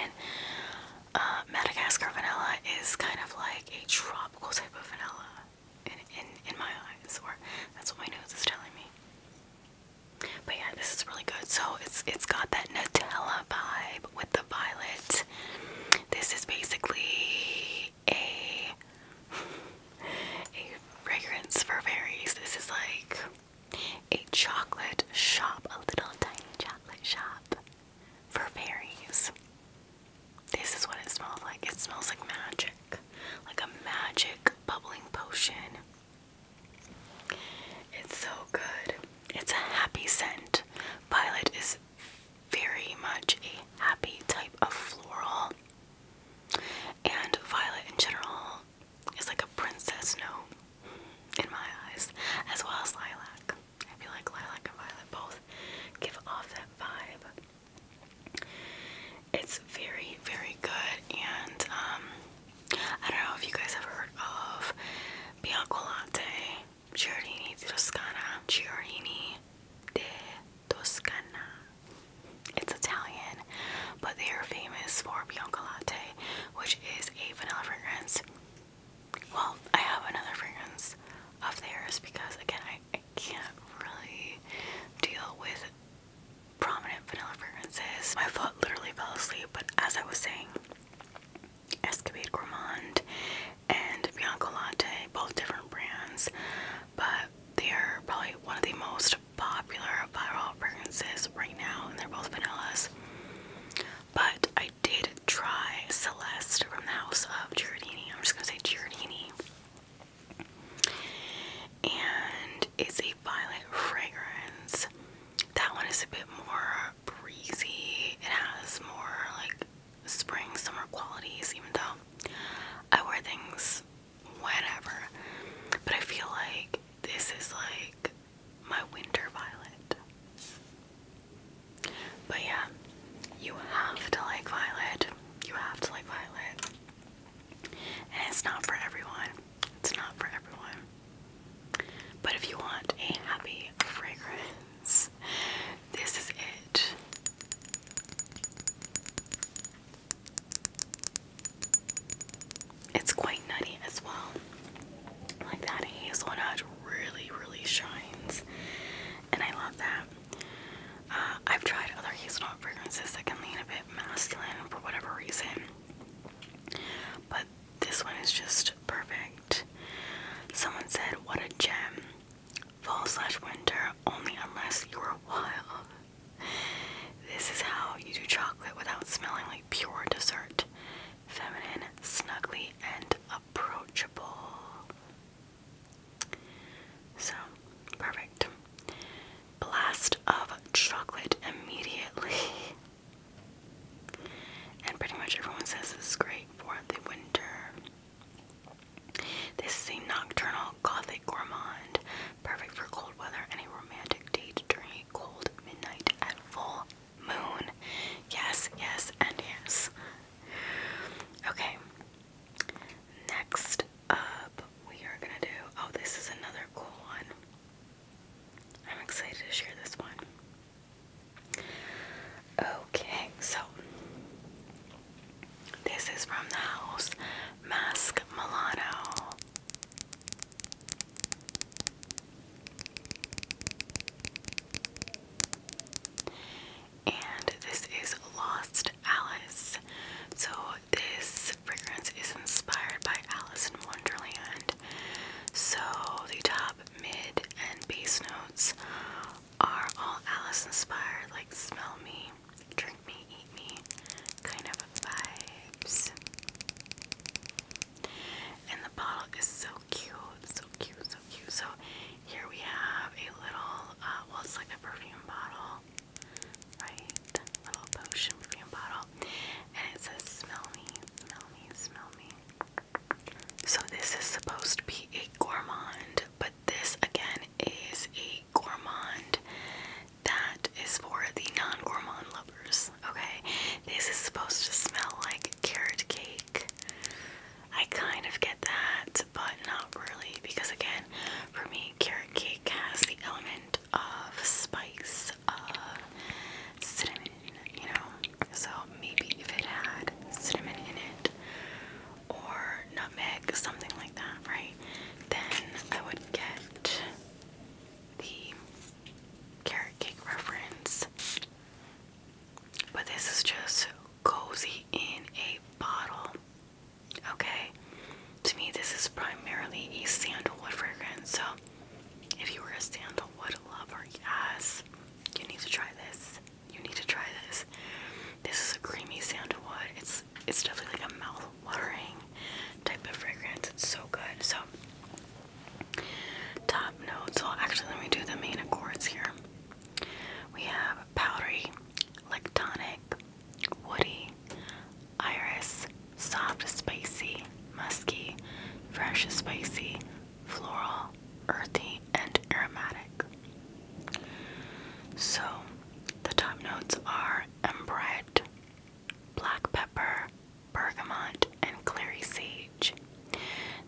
A: And uh, Madagascar vanilla is kind of like a tropical type of vanilla in, in, in my eyes, or that's what my nose is telling me. But yeah, this is really good. So it's it's got that Nutella vibe with the violet. This is basically a a fragrance for fairies. This is like a chocolate shop, a little tiny chocolate shop for fairies. This is what it smells like. It smells like magic, like a magic bubbling potion. It's so good. It's a happy scent. Violet is very much a happy type of floral. And violet in general is like a princess No, in my eyes, as well as lilac. I feel like lilac and violet both give off that vibe. It's very, very good, and um, I don't know if you guys have heard of Bianco Latte, Giardini di Toscana, Giardini de Toscana. It's Italian, but they are famous for Biancolatte, which is a vanilla fragrance. Well, I have another fragrance of theirs because, again, I, can't really deal with prominent vanilla fragrances. My foot literally fell asleep, but as I was saying, Escavade Gourmand and Biancolatte, both different brands but they are probably one of the most popular viral fragrances right now, and they're both vanillas. But I did try Celeste from the house of Giardini. I'm just gonna say Giardini, and it's a violet fragrance. That one is a bit more breezy. It has more like spring summer qualities even though I wear things whenever, but I feel like this is like my winter violet but yeah you have to like violet you have to like violet and it's not for everyone it's not for everyone but if you want a happy fragrance this is it it's quite nutty as well. Like that hazelnut really, really shines, and I love that. Uh, I've tried other hazelnut fragrances that can lean a bit masculine for whatever reason, but this one is just perfect. Someone said, What a gem! fall slash winter only unless you're wild. This is how you do chocolate without smelling like pure dessert. Feminine, snuggly, and approachable. So, perfect. Blast of chocolate immediately. And pretty much everyone says this is great for the winter. This is a nocturnal gothic gourmand, perfect for cold weather and a romantic date during a cold midnight at full moon. Yes, yes, and yes. Okay. Next up, we are gonna do. Oh, this is another cool one. I'm excited to share this one. Okay, so this is from the house Mask Milano. And this is Lost Alice. So, this fragrance is inspired by Alice in Wonderland. So, the top, mid, and base notes are all Alice inspired, like Smell Me, drink me, eat me kind of vibes. And the bottle is so cute, so cute, so cute. So here we have a little, uh, well, it's like a perfume bottle, right? Little potion perfume bottle, and it says "Smell me, smell me, smell me." So this is supposed to be a gourmand, but this again is a gourmand that is for the non-gourmand lovers. Okay, this is supposed to smell like carrot cake. I kind of get that, but not really, because again, for me, carrot cake has the element of spice, of cinnamon, you know. So maybe if it had cinnamon in it, or nutmeg, something like that, right? Then I would get the carrot cake reference. But this is just cozy in a bottle. Okay? To me, this is primarily a sandalwood fragrance. So, if you were a sandalwood lover, yes, you need to try this. You need to try this. This is a creamy sandalwood. It's it's definitely like a mouth watering type of fragrance. It's so good. So top notes. Well, actually, let me do the main accords here. We have powdery, lectonic, woody, iris, soft, spicy, musky, fresh, spicy, floral, earthy, and aromatic. So the top notes are embret, black pepper, bergamot, and clary sage.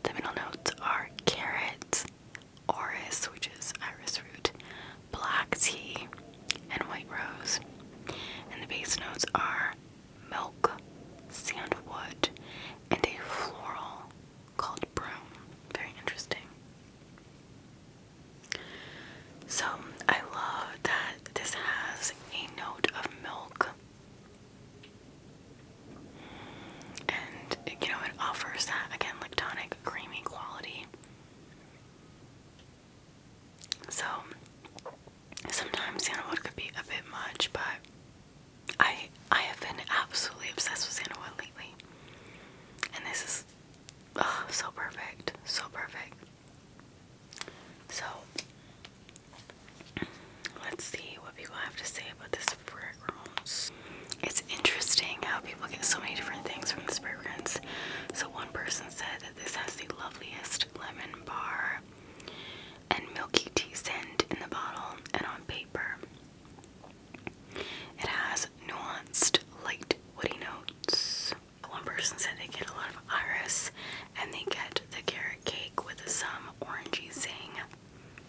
A: The middle notes are carrots, orris, which is iris root, black tea, and white rose. And the base notes are milk, sandwood, and a floral called broom. Very interesting. So I love that this has a note of milk. And you know, it offers that again lactonic creamy quality. So sometimes Sandalwood could be a bit much, but I I have been absolutely obsessed with Sandalwood lately. And this is Oh, so perfect. So perfect. So let's see what people have to say about this fragrance. It's interesting how people get so many different things from this fragrance. So one person said that this has the loveliest lemon bar and milky tea scent in the bottle and on paper. It has nuanced light woody notes one person said they get a lot of iris and they get the carrot cake with some orangey zing,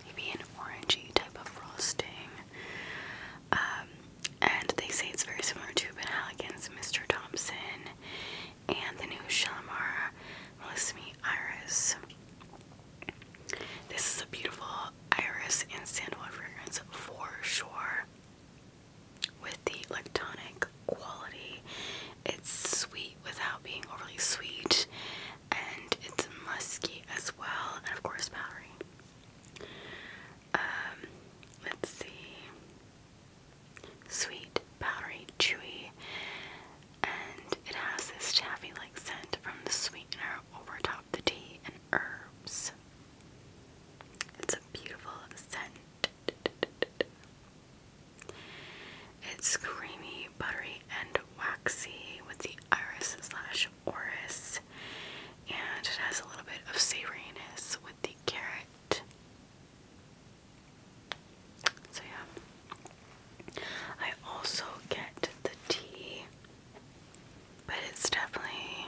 A: maybe an orangey type of frosting. Um, and they say it's very similar to Ben Halligan's Mr. Thompson and the new Shalamara Melissimi Iris. This is a beautiful iris and sandalwood fragrance for sure with the like quality. It's sweet without being overly sweet, and it's musky as well, and of course powdery. Um, let's see, sweet, powdery, chewy, and it has this taffy-like scent from the sweetener over top the tea and herbs. It's a beautiful scent. It's creamy, buttery, and waxy with the iris slash orris, and it has a little bit of savoriness with the carrot. So, yeah. I also get the tea, but it's definitely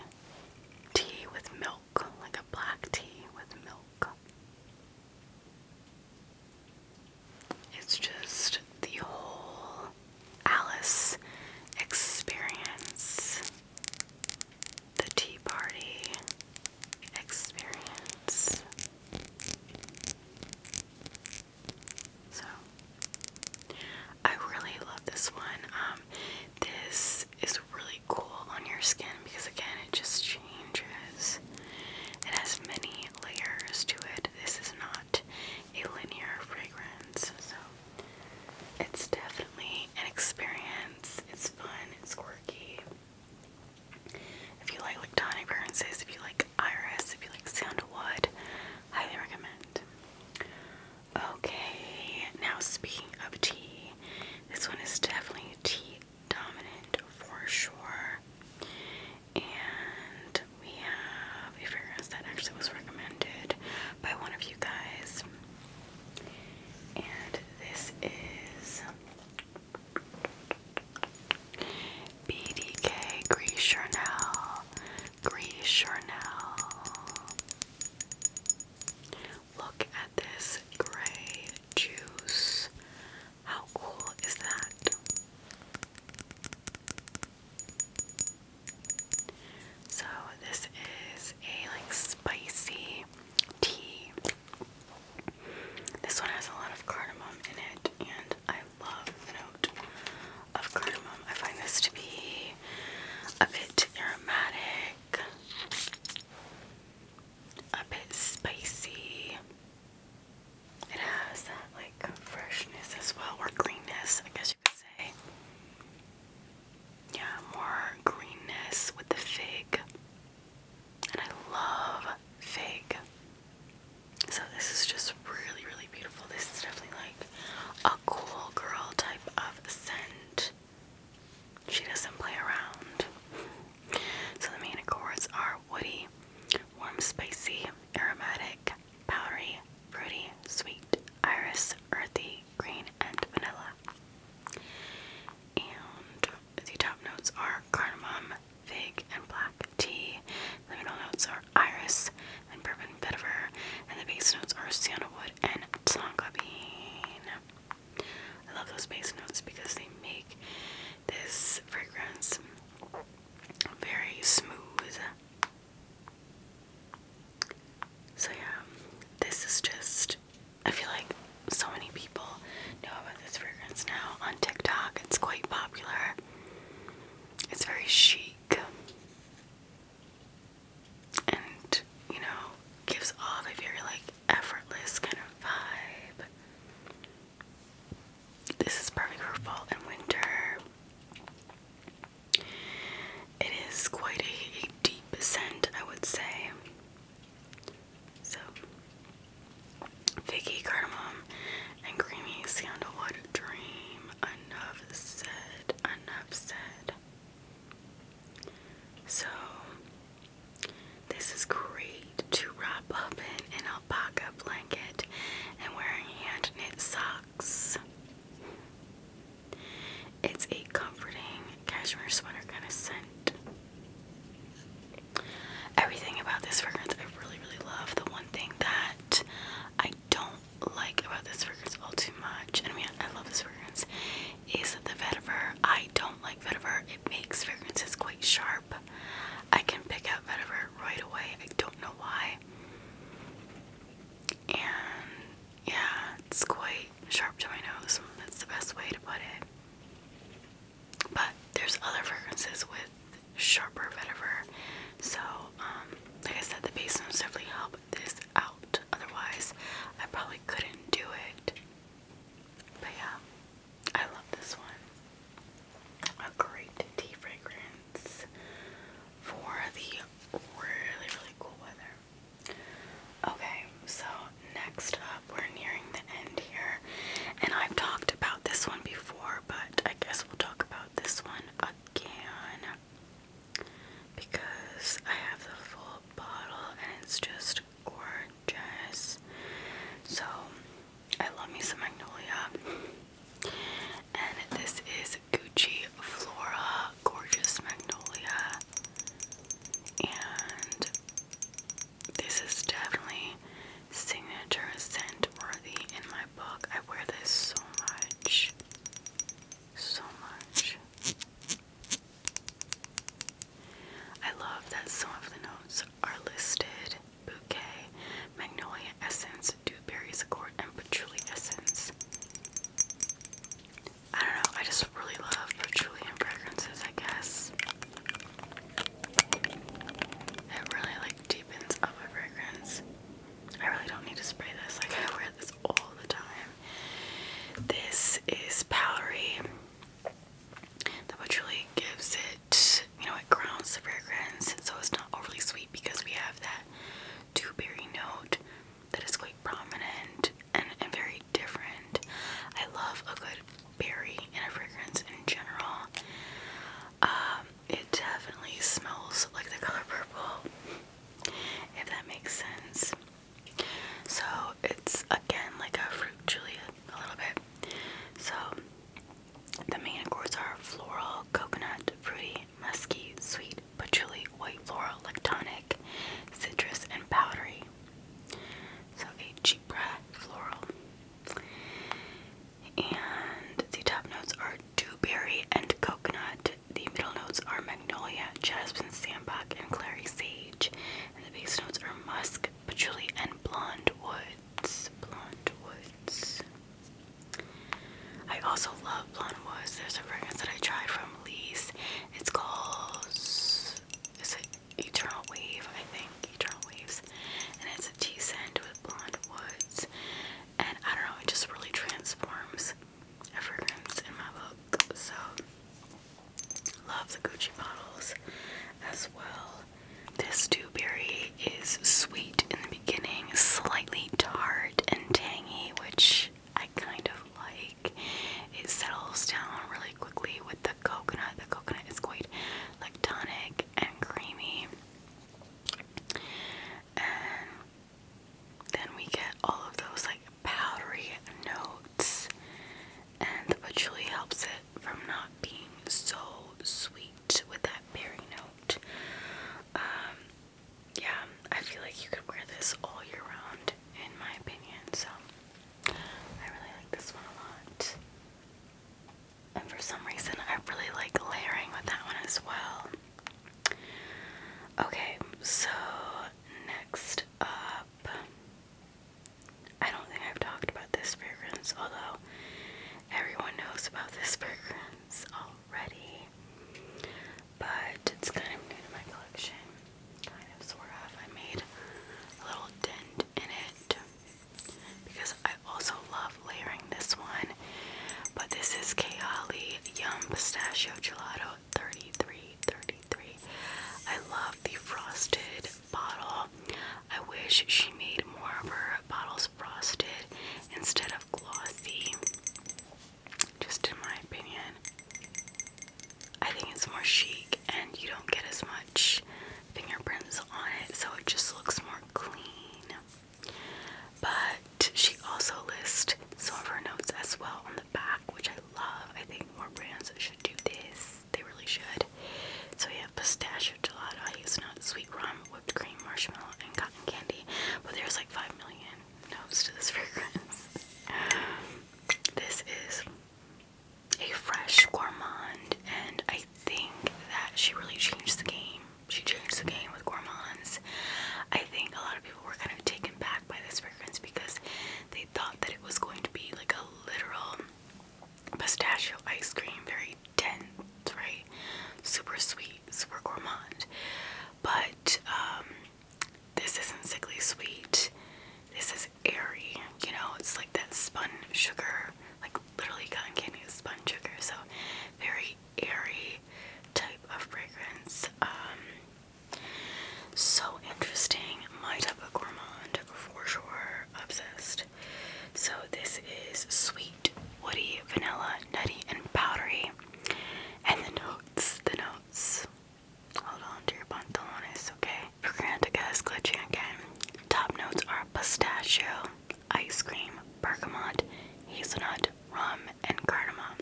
A: tea with milk milk, like a black tea with milk. It's just the whole Alice experience, the tea party experience. So, I really love this one. Um, this is really cool on your skin because again it just changes. It has many layers to it. This is not a linear fragrance, so it's definitely an experience. It's fun, it's quirky. If you like Lactonic fragrances, if you like Iris, if you like Sandalwood, highly recommend. Okay, now speaking of tea, this one is definitely tea dominant for sure. And we have a fragrance that actually was recommended by one of you guys. And this is BDK Gris Charnel. Look at this gray juice. How cool is that? So this is a like spicy tea. This one has a lot of cardamom in it and I love the note of cardamom. I find this to be a bit aromatic a bit spicy. It has that like freshness as well, or greenness, I guess you could say. Yeah, more greenness with the fig. And I love fig. So this is just really, really beautiful. This is definitely like a cool girl type of scent. She doesn't play around. So the main accords are woody, warm, spicy, aromatic, powdery, fruity, sweet, iris, earthy, green, and vanilla. And the top notes are cardamom, fig, and black tea. The middle notes are iris and bourbon vetiver, and the base notes are sandalwood and tonka bean. I love those base notes because they make this fragrance very smooth. So, yeah, this is just, I feel like so many people know about this fragrance now on TikTok. It's quite popular, it's very chic and you know gives off a very like effortless kind of vibe. This is perfect for fall and winter. It is quite a, deep scent, I would say. So, figgy cardamom and creamy sandalwood dream. Enough said. Enough said. So this is great to wrap up in an alpaca blanket and wearing hand knit socks. It's a comforting cashmere sweater kind of scent. Everything about this fragrance I really, really love. The one thing that I don't like about this fragrance all too much, and I mean, I love this fragrance, is it the vetiver. I don't like vetiver. It makes fragrances quite sharp. I can pick out vetiver right away. I don't know why. And yeah, it's quite sharp to my nose. That's the best way to put it. But there's other fragrances with sharper vetiver. So, um, like I said, the base notes definitely help this out. Otherwise, I probably couldn't do it. But yeah, I love this one. A great tea fragrance for the really, really cool weather. Okay, so next up, we're nearing the end here. And I've talked about this one before, but I guess we'll talk about this one again because I have the full bottle and it's just gorgeous. So I love me some magnolia. And this is Gucci Flora Gorgeous Magnolia. And this is definitely signature scent worthy in my book. I wear this so much. So much. I love that some of the notes are listed bouquet, magnolia essence, dewberries accord, and patchouli essence. I don't know, I just really love patchouli and fragrances, I guess. It really like deepens up a fragrance. I really don't need to spray this, like I wear this all the time. This is Pallery. That which really gives it, you know, it grounds the fragrance, so it's not overly sweet because we have that two berry note that is quite prominent and, very different. I love a good berry in a fragrance in general. Um, it definitely smells like the color purple, if that makes sense. So it's again like a fruit juliet a little bit. So the main accords are floral, coconut, fruity, musky, sweet, patchouli, white floral, lactonic, citrus, and powdery. So a cheap breath floral. And the top notes are dewberry and coconut. The middle notes are magnolia, jasmine, sandbach, and clary sage. And the base notes are musk, patchouli, and blonde woods. Blonde woods. I also love blonde woods. There's a fragrance that I tried from Lease. It's called is it Eternal Wave, I think. Eternal Waves. And it's a tea scent with blonde woods. And I don't know, it just really transforms a in my book. So Love the Gucci bottles as well. This dewberry is sweet in the beginning, slightly tart and tangy, which I kind of like. It settles down really quickly with the coconut. The coconut is quite like tonic and creamy. And then we get all of those powdery notes, and which really helps it from not being so sweet with that berry note. Um, yeah, I feel like you could wear this all year round, in my opinion. So I really like this one a lot. And for some reason, I really like layering with that one as well. Okay, so next up, I don't think I've talked about this fragrance, although everyone knows about this *laughs* fragrance already. But it's kind of new to my collection. Kind of, sort of. I made a little dent in it because I also love layering this one. But this is Kehali Yum Pistachio Gelato about I love the frosted bottle. I wish she made more of her bottles frosted instead of glossy. Just in my opinion. I think it's more chic and you don't get as much fingerprints on it, so it just looks more clean. But she also lists some of her notes as well on the back, which I love. I think more brands should do this. They really should. So we have pistachio gelato, hazelnut, sweet rum, whipped cream, marshmallow, and cotton candy. But there's like 5 million notes to this *laughs* fragrance. this is a fresh gourmand, and I think that she really changed the game. She changed the game with gourmands. I think a lot of people were kind of taken back by this fragrance because they thought that it was going to be like a literal pistachio ice cream, very dense, right? Super sweet, super gourmand. But um, this isn't sickly sweet. This is airy, you know, it's like that spun sugar, like literally cotton candy is spun sugar. So, very airy type of fragrance. Um, so interesting. My type of gourmand for sure. Obsessed. So this is sweet, woody, vanilla, nutty, and powdery. And the notes, the notes. Hold on to your pantalones, okay? For Fragranticas glitchy again. Top notes are pistachio, ice cream, bergamot, hazelnut, rum, and cardamom.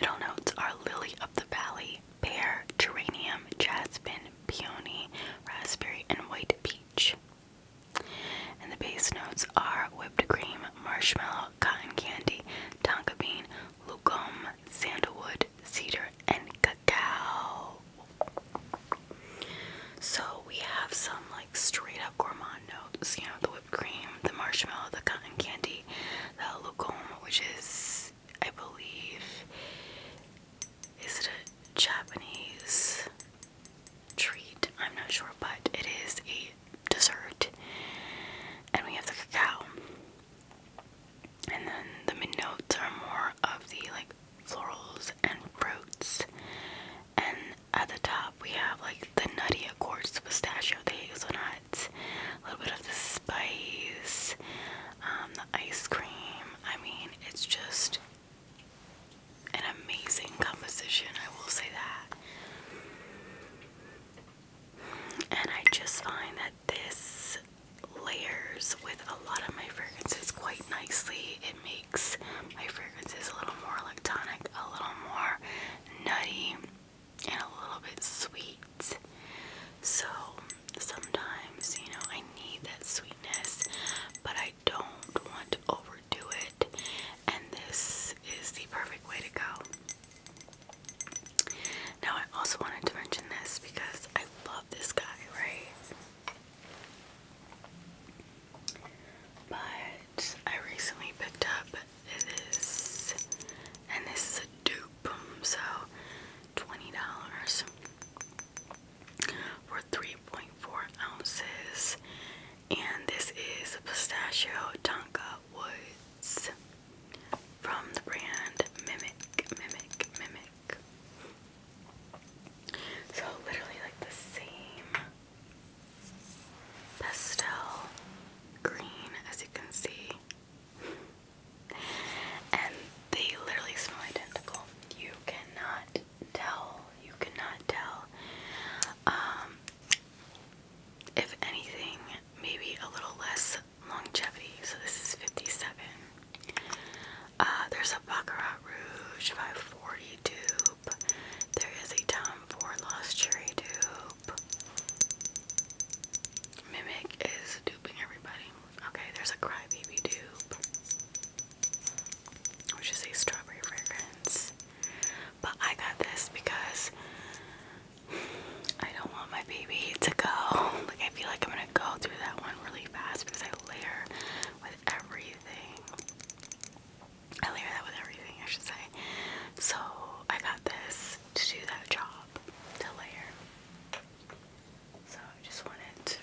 A: Middle notes are lily of the valley, pear, geranium, jasmine, peony, raspberry, and white peach. And the base notes are whipped cream, marshmallow, cotton candy, tonka bean, lucum, sandalwood, cedar, and cacao. So we have some like straight up gourmand notes, you know, the whipped cream, the marshmallow, the cotton candy, the lucum, which is I believe, is it a Japanese treat? I'm not sure, but it is a dessert. And we have the cacao. And then the mid notes are more of the like florals and fruits. And at the top, we have like the nutty, of course, pistachio, the hazelnuts, a little bit of the spice, um, the ice cream. I mean, it's just an amazing composition, I will say that. And I just find that this layers with a lot of my fragrances quite nicely. It makes my fragrances a little more electronic, a little more nutty, and a little bit sweet. So sometimes, you know, I need that sweetness, but I don't want to overdo it, and this is the perfect way to go. Now, I also wanted to mention this because I love this guy, right? But I recently picked up this, and this is a dupe, so $20 for 3.4 ounces. And this is a pistachio Tonka Woods from the brand Mimic, Mimic, Mimic. So literally like the same pastel green as you can see. And they literally smell identical. You cannot tell. You cannot tell. Um, if anything, maybe a little less longevity. So this is 57. Uh, there's a Baccarat Rouge 540 dupe. There is a Tom Ford Lost Cherry dupe. Mimic is duping everybody. Okay, there's a crybaby dupe, which is a strawberry fragrance. But I got this because I don't want my baby to go. Like, I feel like I'm gonna go through that one really fast because I layer with everything. I layer that with everything, I should say. So, I got this to do that job, to layer. So I just wanted to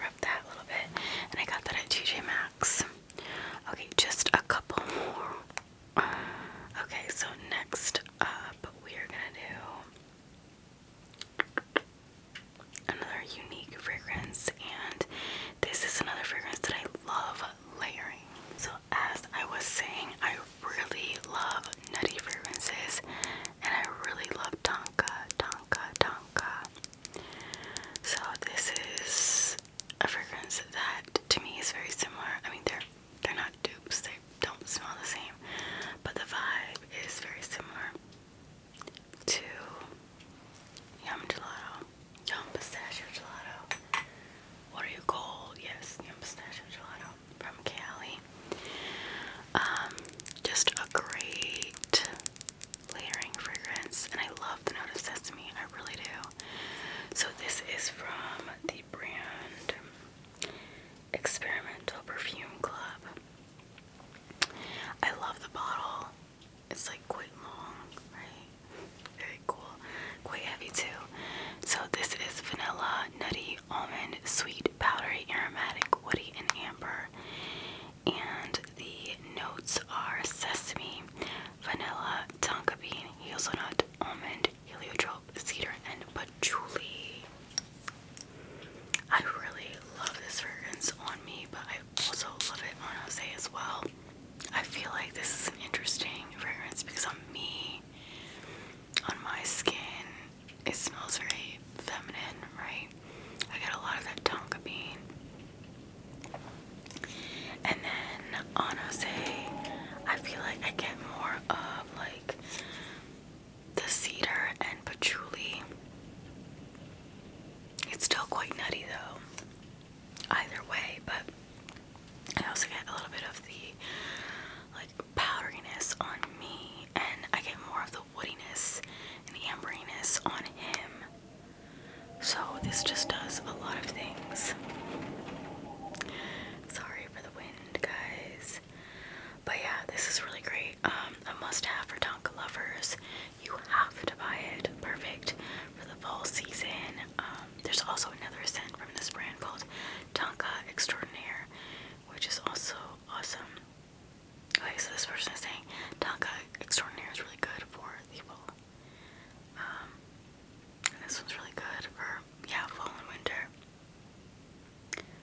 A: rub that a little bit. And I got that at TJ Maxx. Okay, just a couple more. Okay, so next up we are gonna do another unique fragrance and this is another fragrance that I love layering. So as I was saying, I really love nutty fragrances and I really love Tonka, Tonka, Tonka. So this is a fragrance that to me is very similar. I mean they're they're not dupes, they don't smell the same, but the vibe is very similar to Yum Gelato. Yum Pistachio Gelato. What are you called? Yes, Yum Pistachio Gelato from Cali. Um, just a great layering fragrance, and I love the note of sesame. I really do. So this is from the brand Experimental Perfume Club. I love the bottle. It's like quite long, right? Very cool. Quite heavy too. So this is vanilla, nutty, almond, sweet, powdery, aromatic, woody, and amber. And the notes are sesame, vanilla, tonka bean, hazelnut, almond, heliotrope, cedar, and patchouli. I really love this fragrance on me, but I also love it on Jose as well. I feel like this is an interesting fragrance because on me, on my skin, it smells very feminine, right? I got a lot of that tonka bean. And then on Jose, I feel like I get more of like the cedar and patchouli. It's still quite nutty though, either way, but I also get a little bit of the Powderness on me and I get more of the woodiness and the amberiness on him. So this just does a lot of things. Sorry for the wind, guys. But yeah, this is really great. Um, a must-have for Tonka lovers. You have to buy it. Perfect for the fall season. Um, there's also another scent from this brand called Tonka Extraordinaire, which is also awesome. Okay, so this person is saying Tonka Extraordinaire is really good for the fall. Um, and this one's really good for, yeah, fall and winter.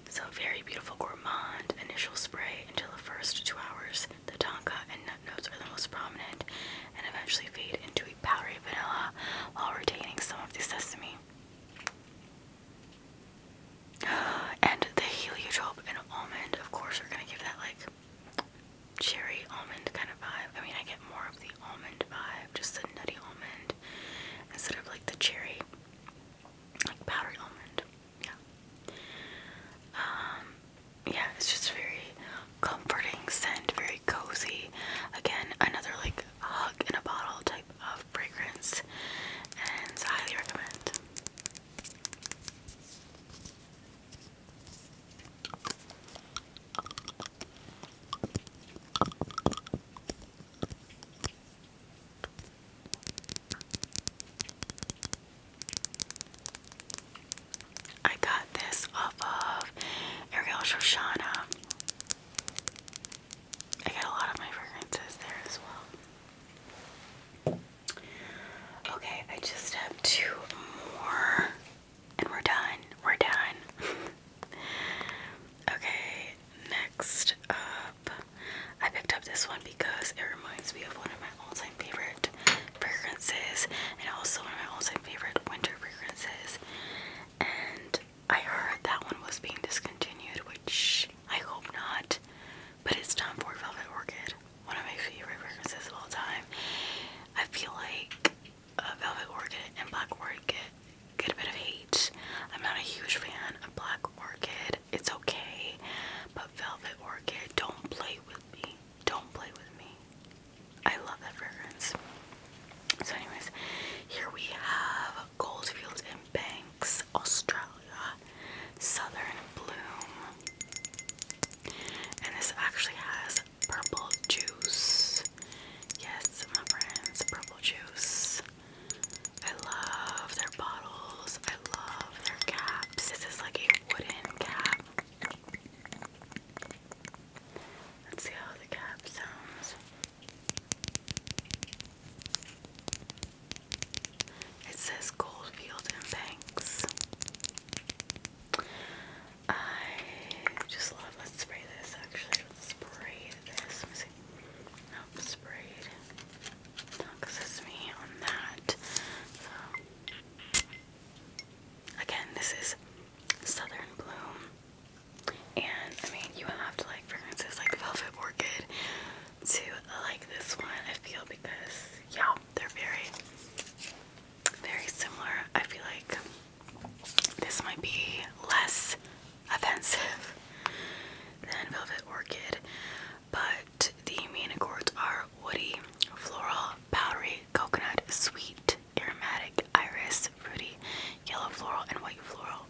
A: So, very beautiful gourmand, initial spray until the first two hours. The tonka and nut notes are the most prominent and eventually fade into a powdery vanilla while retaining some of the sesame. *gasps* And the heliotrope and almond, of course, are gonna give that like cherry almond kind of vibe. I mean, I get more of the almond vibe, just the nutty almond, instead of like the cherry, like powdery almond. Yeah. Um, yeah, it's just very comforting scent, very cozy. Again, another like hug in a bottle type of fragrance and highly recommend. I got this off of Ariel Shoshana. I got a lot of my fragrances there as well. Okay, I just have two more. And we're done. We're done. *laughs* okay, next up. I picked up this one because it reminds me of one of my all time favorite fragrances and also one of my all time favorite winter fragrances. And I heard that one was being discontinued, which I hope not but it's time for Velvet Orchid, one of my favorite fragrances of all time. I feel like uh, Velvet Orchid and Black Orchid get a bit of hate. I'm not a huge fan of Black Orchid. It's okay, but Velvet Orchid, don't play with me. Don't play with me. I love that fragrance. So anyways, here we have Goldfield and Banks, Australia, Southern Bloom. And this actually has purple juice. Yes, my friends, purple juice. I love their bottles. I love their caps. This is like a wooden cap. Let's see how the cap sounds. It says Goldfield and Banks. I just love. Let's spray this. Actually, spray this. Nope, sprayed. No, because it's me on that. again, this is Southern Bloom, and I mean, you have to like fragrances like Velvet Orchid, to uh, like this one, I feel, because yeah, they're very, very similar. I feel like this might be less offensive than Velvet Orchid, but the main accords are woody, floral, powdery, coconut, sweet, aromatic, iris, fruity, yellow floral, and white floral.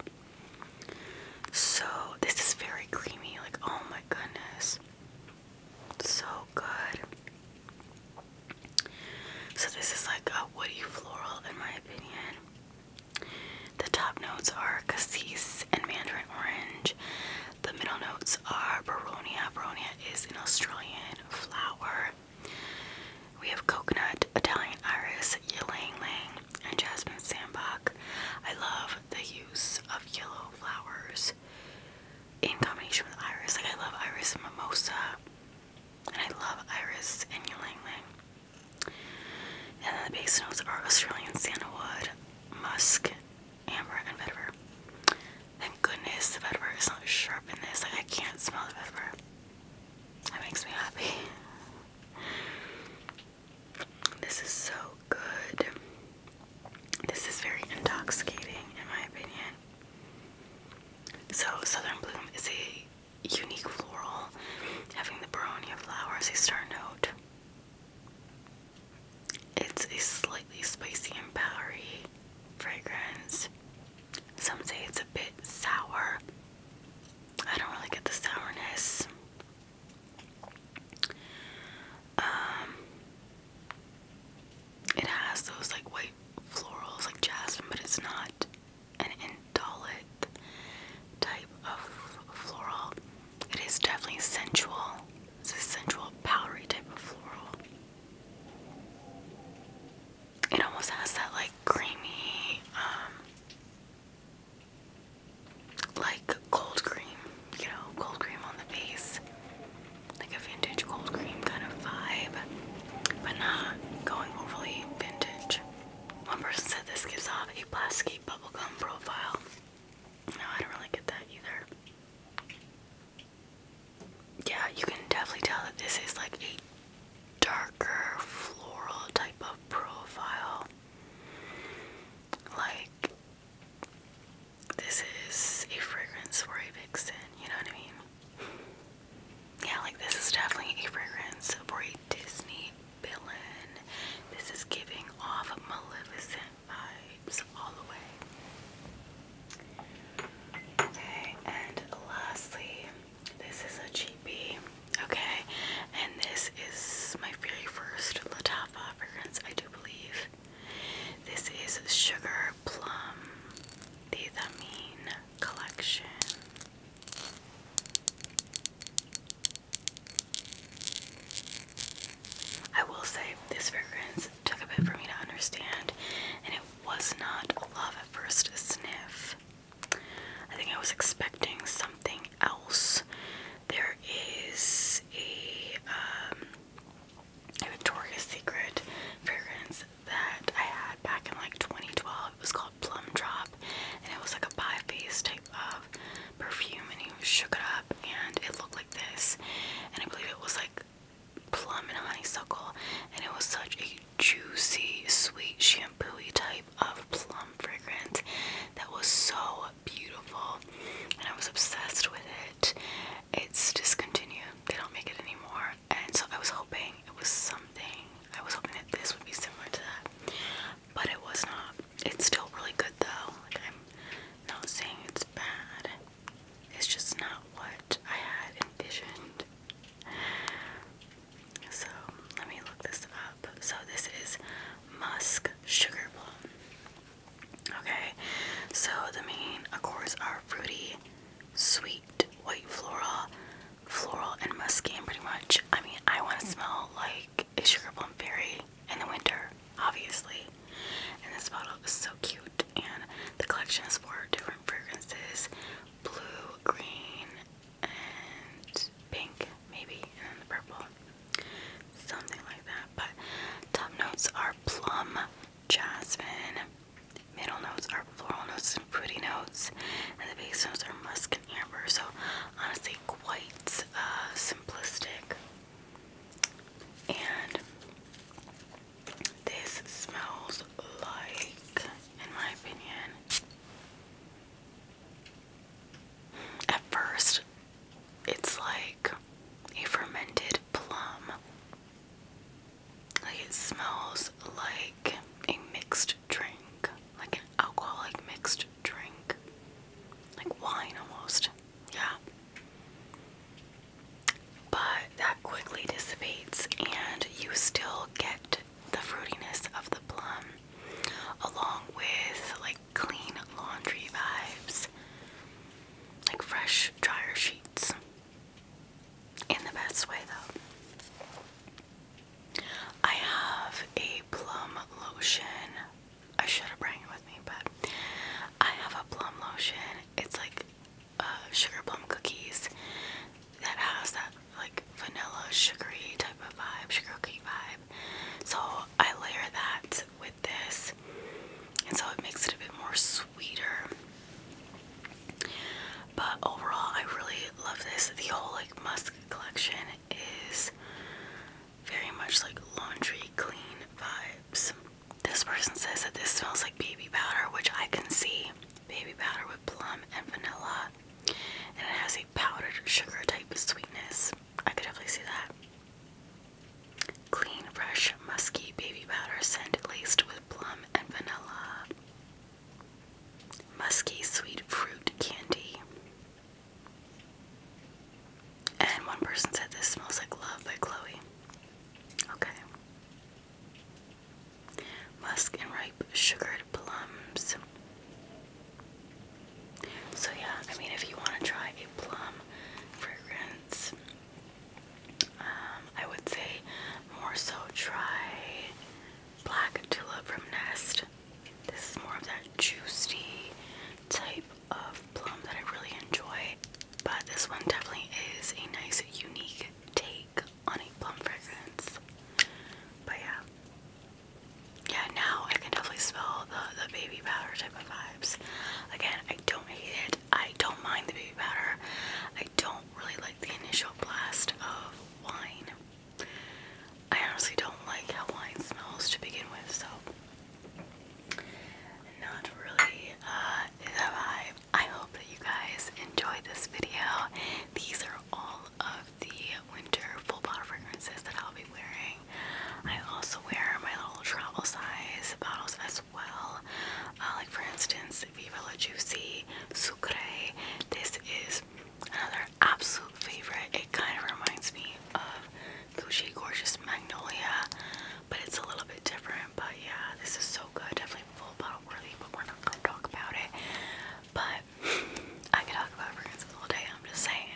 A: So, this is very creamy, like, oh my goodness. So good. So, this is like a woody floral, in my opinion. The top notes are cassis and mandarin orange. The middle notes are baronia. Baronia is an Australian flower. We have coconut, Italian iris, ylang ylang, and jasmine sandbach. I love the use of yellow flowers in combination with iris. Like I love iris and mimosa, and I love iris and ylang ylang. And then the base notes are Australian sandalwood, musk, amber, and vetiver. Thank goodness the vetiver is not sharp in this. Like I can't smell the vetiver. It makes me happy. This is so good. This is very intoxicating, in my opinion. So, Southern Bloom is a unique floral, having the baronia flowers as a start note. It's a slightly spicy and powdery fragrance. Some say it's a bit sour. I don't really get the sourness. Um, it has those like white florals, like jasmine, but it's not an indolic type of floral. It is definitely sensual. It's a sensual, powdery type of floral. It almost has that like creamy, um, like cold cream, you know, cold cream on the face, like a vintage cold cream kind of vibe, but not going overly vintage. One person said this gives off a plasticky bubblegum profile. No, I don't really get that either. Yeah, you can definitely tell that this is like a darker floral type of profile. Like this is a fragrance for a vixen, you know what I mean? Yeah, like this is definitely a fragrance for a Disney villain. This is giving off Maleficent vibes all the way. Okay, and lastly, this is a cheapie. Okay, and this is my very first Latafa fragrance I I do believe. This is Sugar Plum, the Thamine collection. I will say this fragrance took a bit for me to understand, and it was not love at first sniff. I think I was expecting something else there is a, um, Victoria's Secret fragrance that I had back in like 2012. It was called Plum Drop, and it was like a bi-phase type of perfume, and you shook it up, and it looked like this. And I believe it was like plum and honeysuckle, and it was such a juicy, sweet shampooy type of plum fragrance that was so beautiful and I was obsessed with it. It's discontinued, they don't make it anymore. And so I was hoping it was something, I was hoping that this would be similar to that, but it was not. It's still really good though. I'm not saying it's bad, it's just not what I had envisioned. So let me look this up. So this is Musk Sugar Plum. Okay, so the main accords are fruity, sweet, white floral, floral, and musky. pretty much, I mean, I want to hmm. smell like a sugar plum fairy in the winter, obviously. And this bottle is so cute, and the collection is four different fragrances: blue, green, and pink, maybe, and then the purple something like that. But top notes are plum, jasmine, middle notes are floral notes and fruity notes, and the base notes are musk and amber. So, honestly, quite uh, simplistic. And this smells like, in my opinion, at first, it's like a fermented plum. Like it smells like a mixed drink, like an alcoholic mixed drink, like wine almost. Yeah. But that quickly dissipates, and you still get the fruitiness of the plum along with like clean laundry vibes, like fresh dryer sheets. In the best way, though. I have a plum lotion. I should have brought it with me, but I have a plum lotion. It's like uh, sugar plum cookies that has that like vanilla sugary type of vibe, sugar cookie vibe. So I layer that with this, and so it makes it a bit more sweeter. But overall, I really love this. The whole like musk collection is very much like laundry clean vibes. This person says that this smells like baby powder, which I can see. Baby powder with plum and vanilla, and it has a powdered sugar type of sweetness. I could definitely see that. Clean, fresh, musky baby powder scent laced with plum and vanilla. Musky sweet fruit candy. And one person said this smells like love by Chloe. Okay. Musk and ripe sugared plums. So yeah, I mean if you want to try a plum fragrance, um, I would say more so try Black Tulip from Nest. This is more of that juicy type of plum that I really enjoy. But this one definitely is a nice, unique take on a plum fragrance. But yeah. Yeah, now I can definitely smell the, the baby powder type of vibes. Again, I don't hate it. I don't mind the baby powder. I don't really like the initial blast of wine. I honestly don't like how wine smells to begin with, so not really uh, vibe. I hope that you guys enjoyed this video. These are all of the winter full bottle fragrances that I'll be wearing. I also wear my little travel size bottles as well. Uh, like for instance, Viva La Juicy Sucre. This is another absolute favorite. It kind of reminds me of Gucci Gorgeous Magnolia, but it's a little bit different. But yeah, this is so good. Definitely full bottle worthy, but we're not gonna talk about it. But I could talk about fragrances all day. I'm just saying.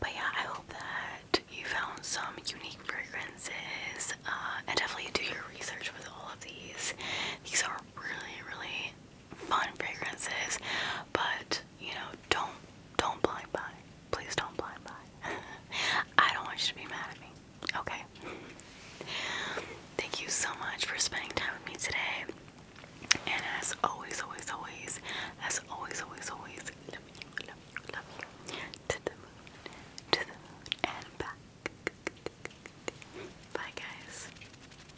A: But yeah, I hope that you found some unique fragrances. Uh, and definitely do your research with all of these. These are really, really fun fragrances. But you know, don't don't blind buy. Please don't blind buy. *laughs* I don't want you to be mad at me. Okay. Thank you so much for spending time with me today. And as always, always, always, as always, always, always, love you, Love you. To the moon, to the moon, and back. Bye, guys.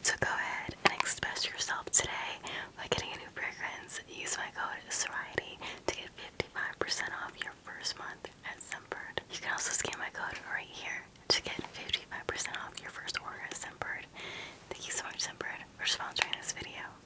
A: So go ahead and express yourself today by getting a new fragrance. Use my code Soriety to get 55% off your first month at Scentbird. You can also scan my code right here to get 55% off your first order at Scentbird. Thank you so much, Scentbird, for sponsoring this video.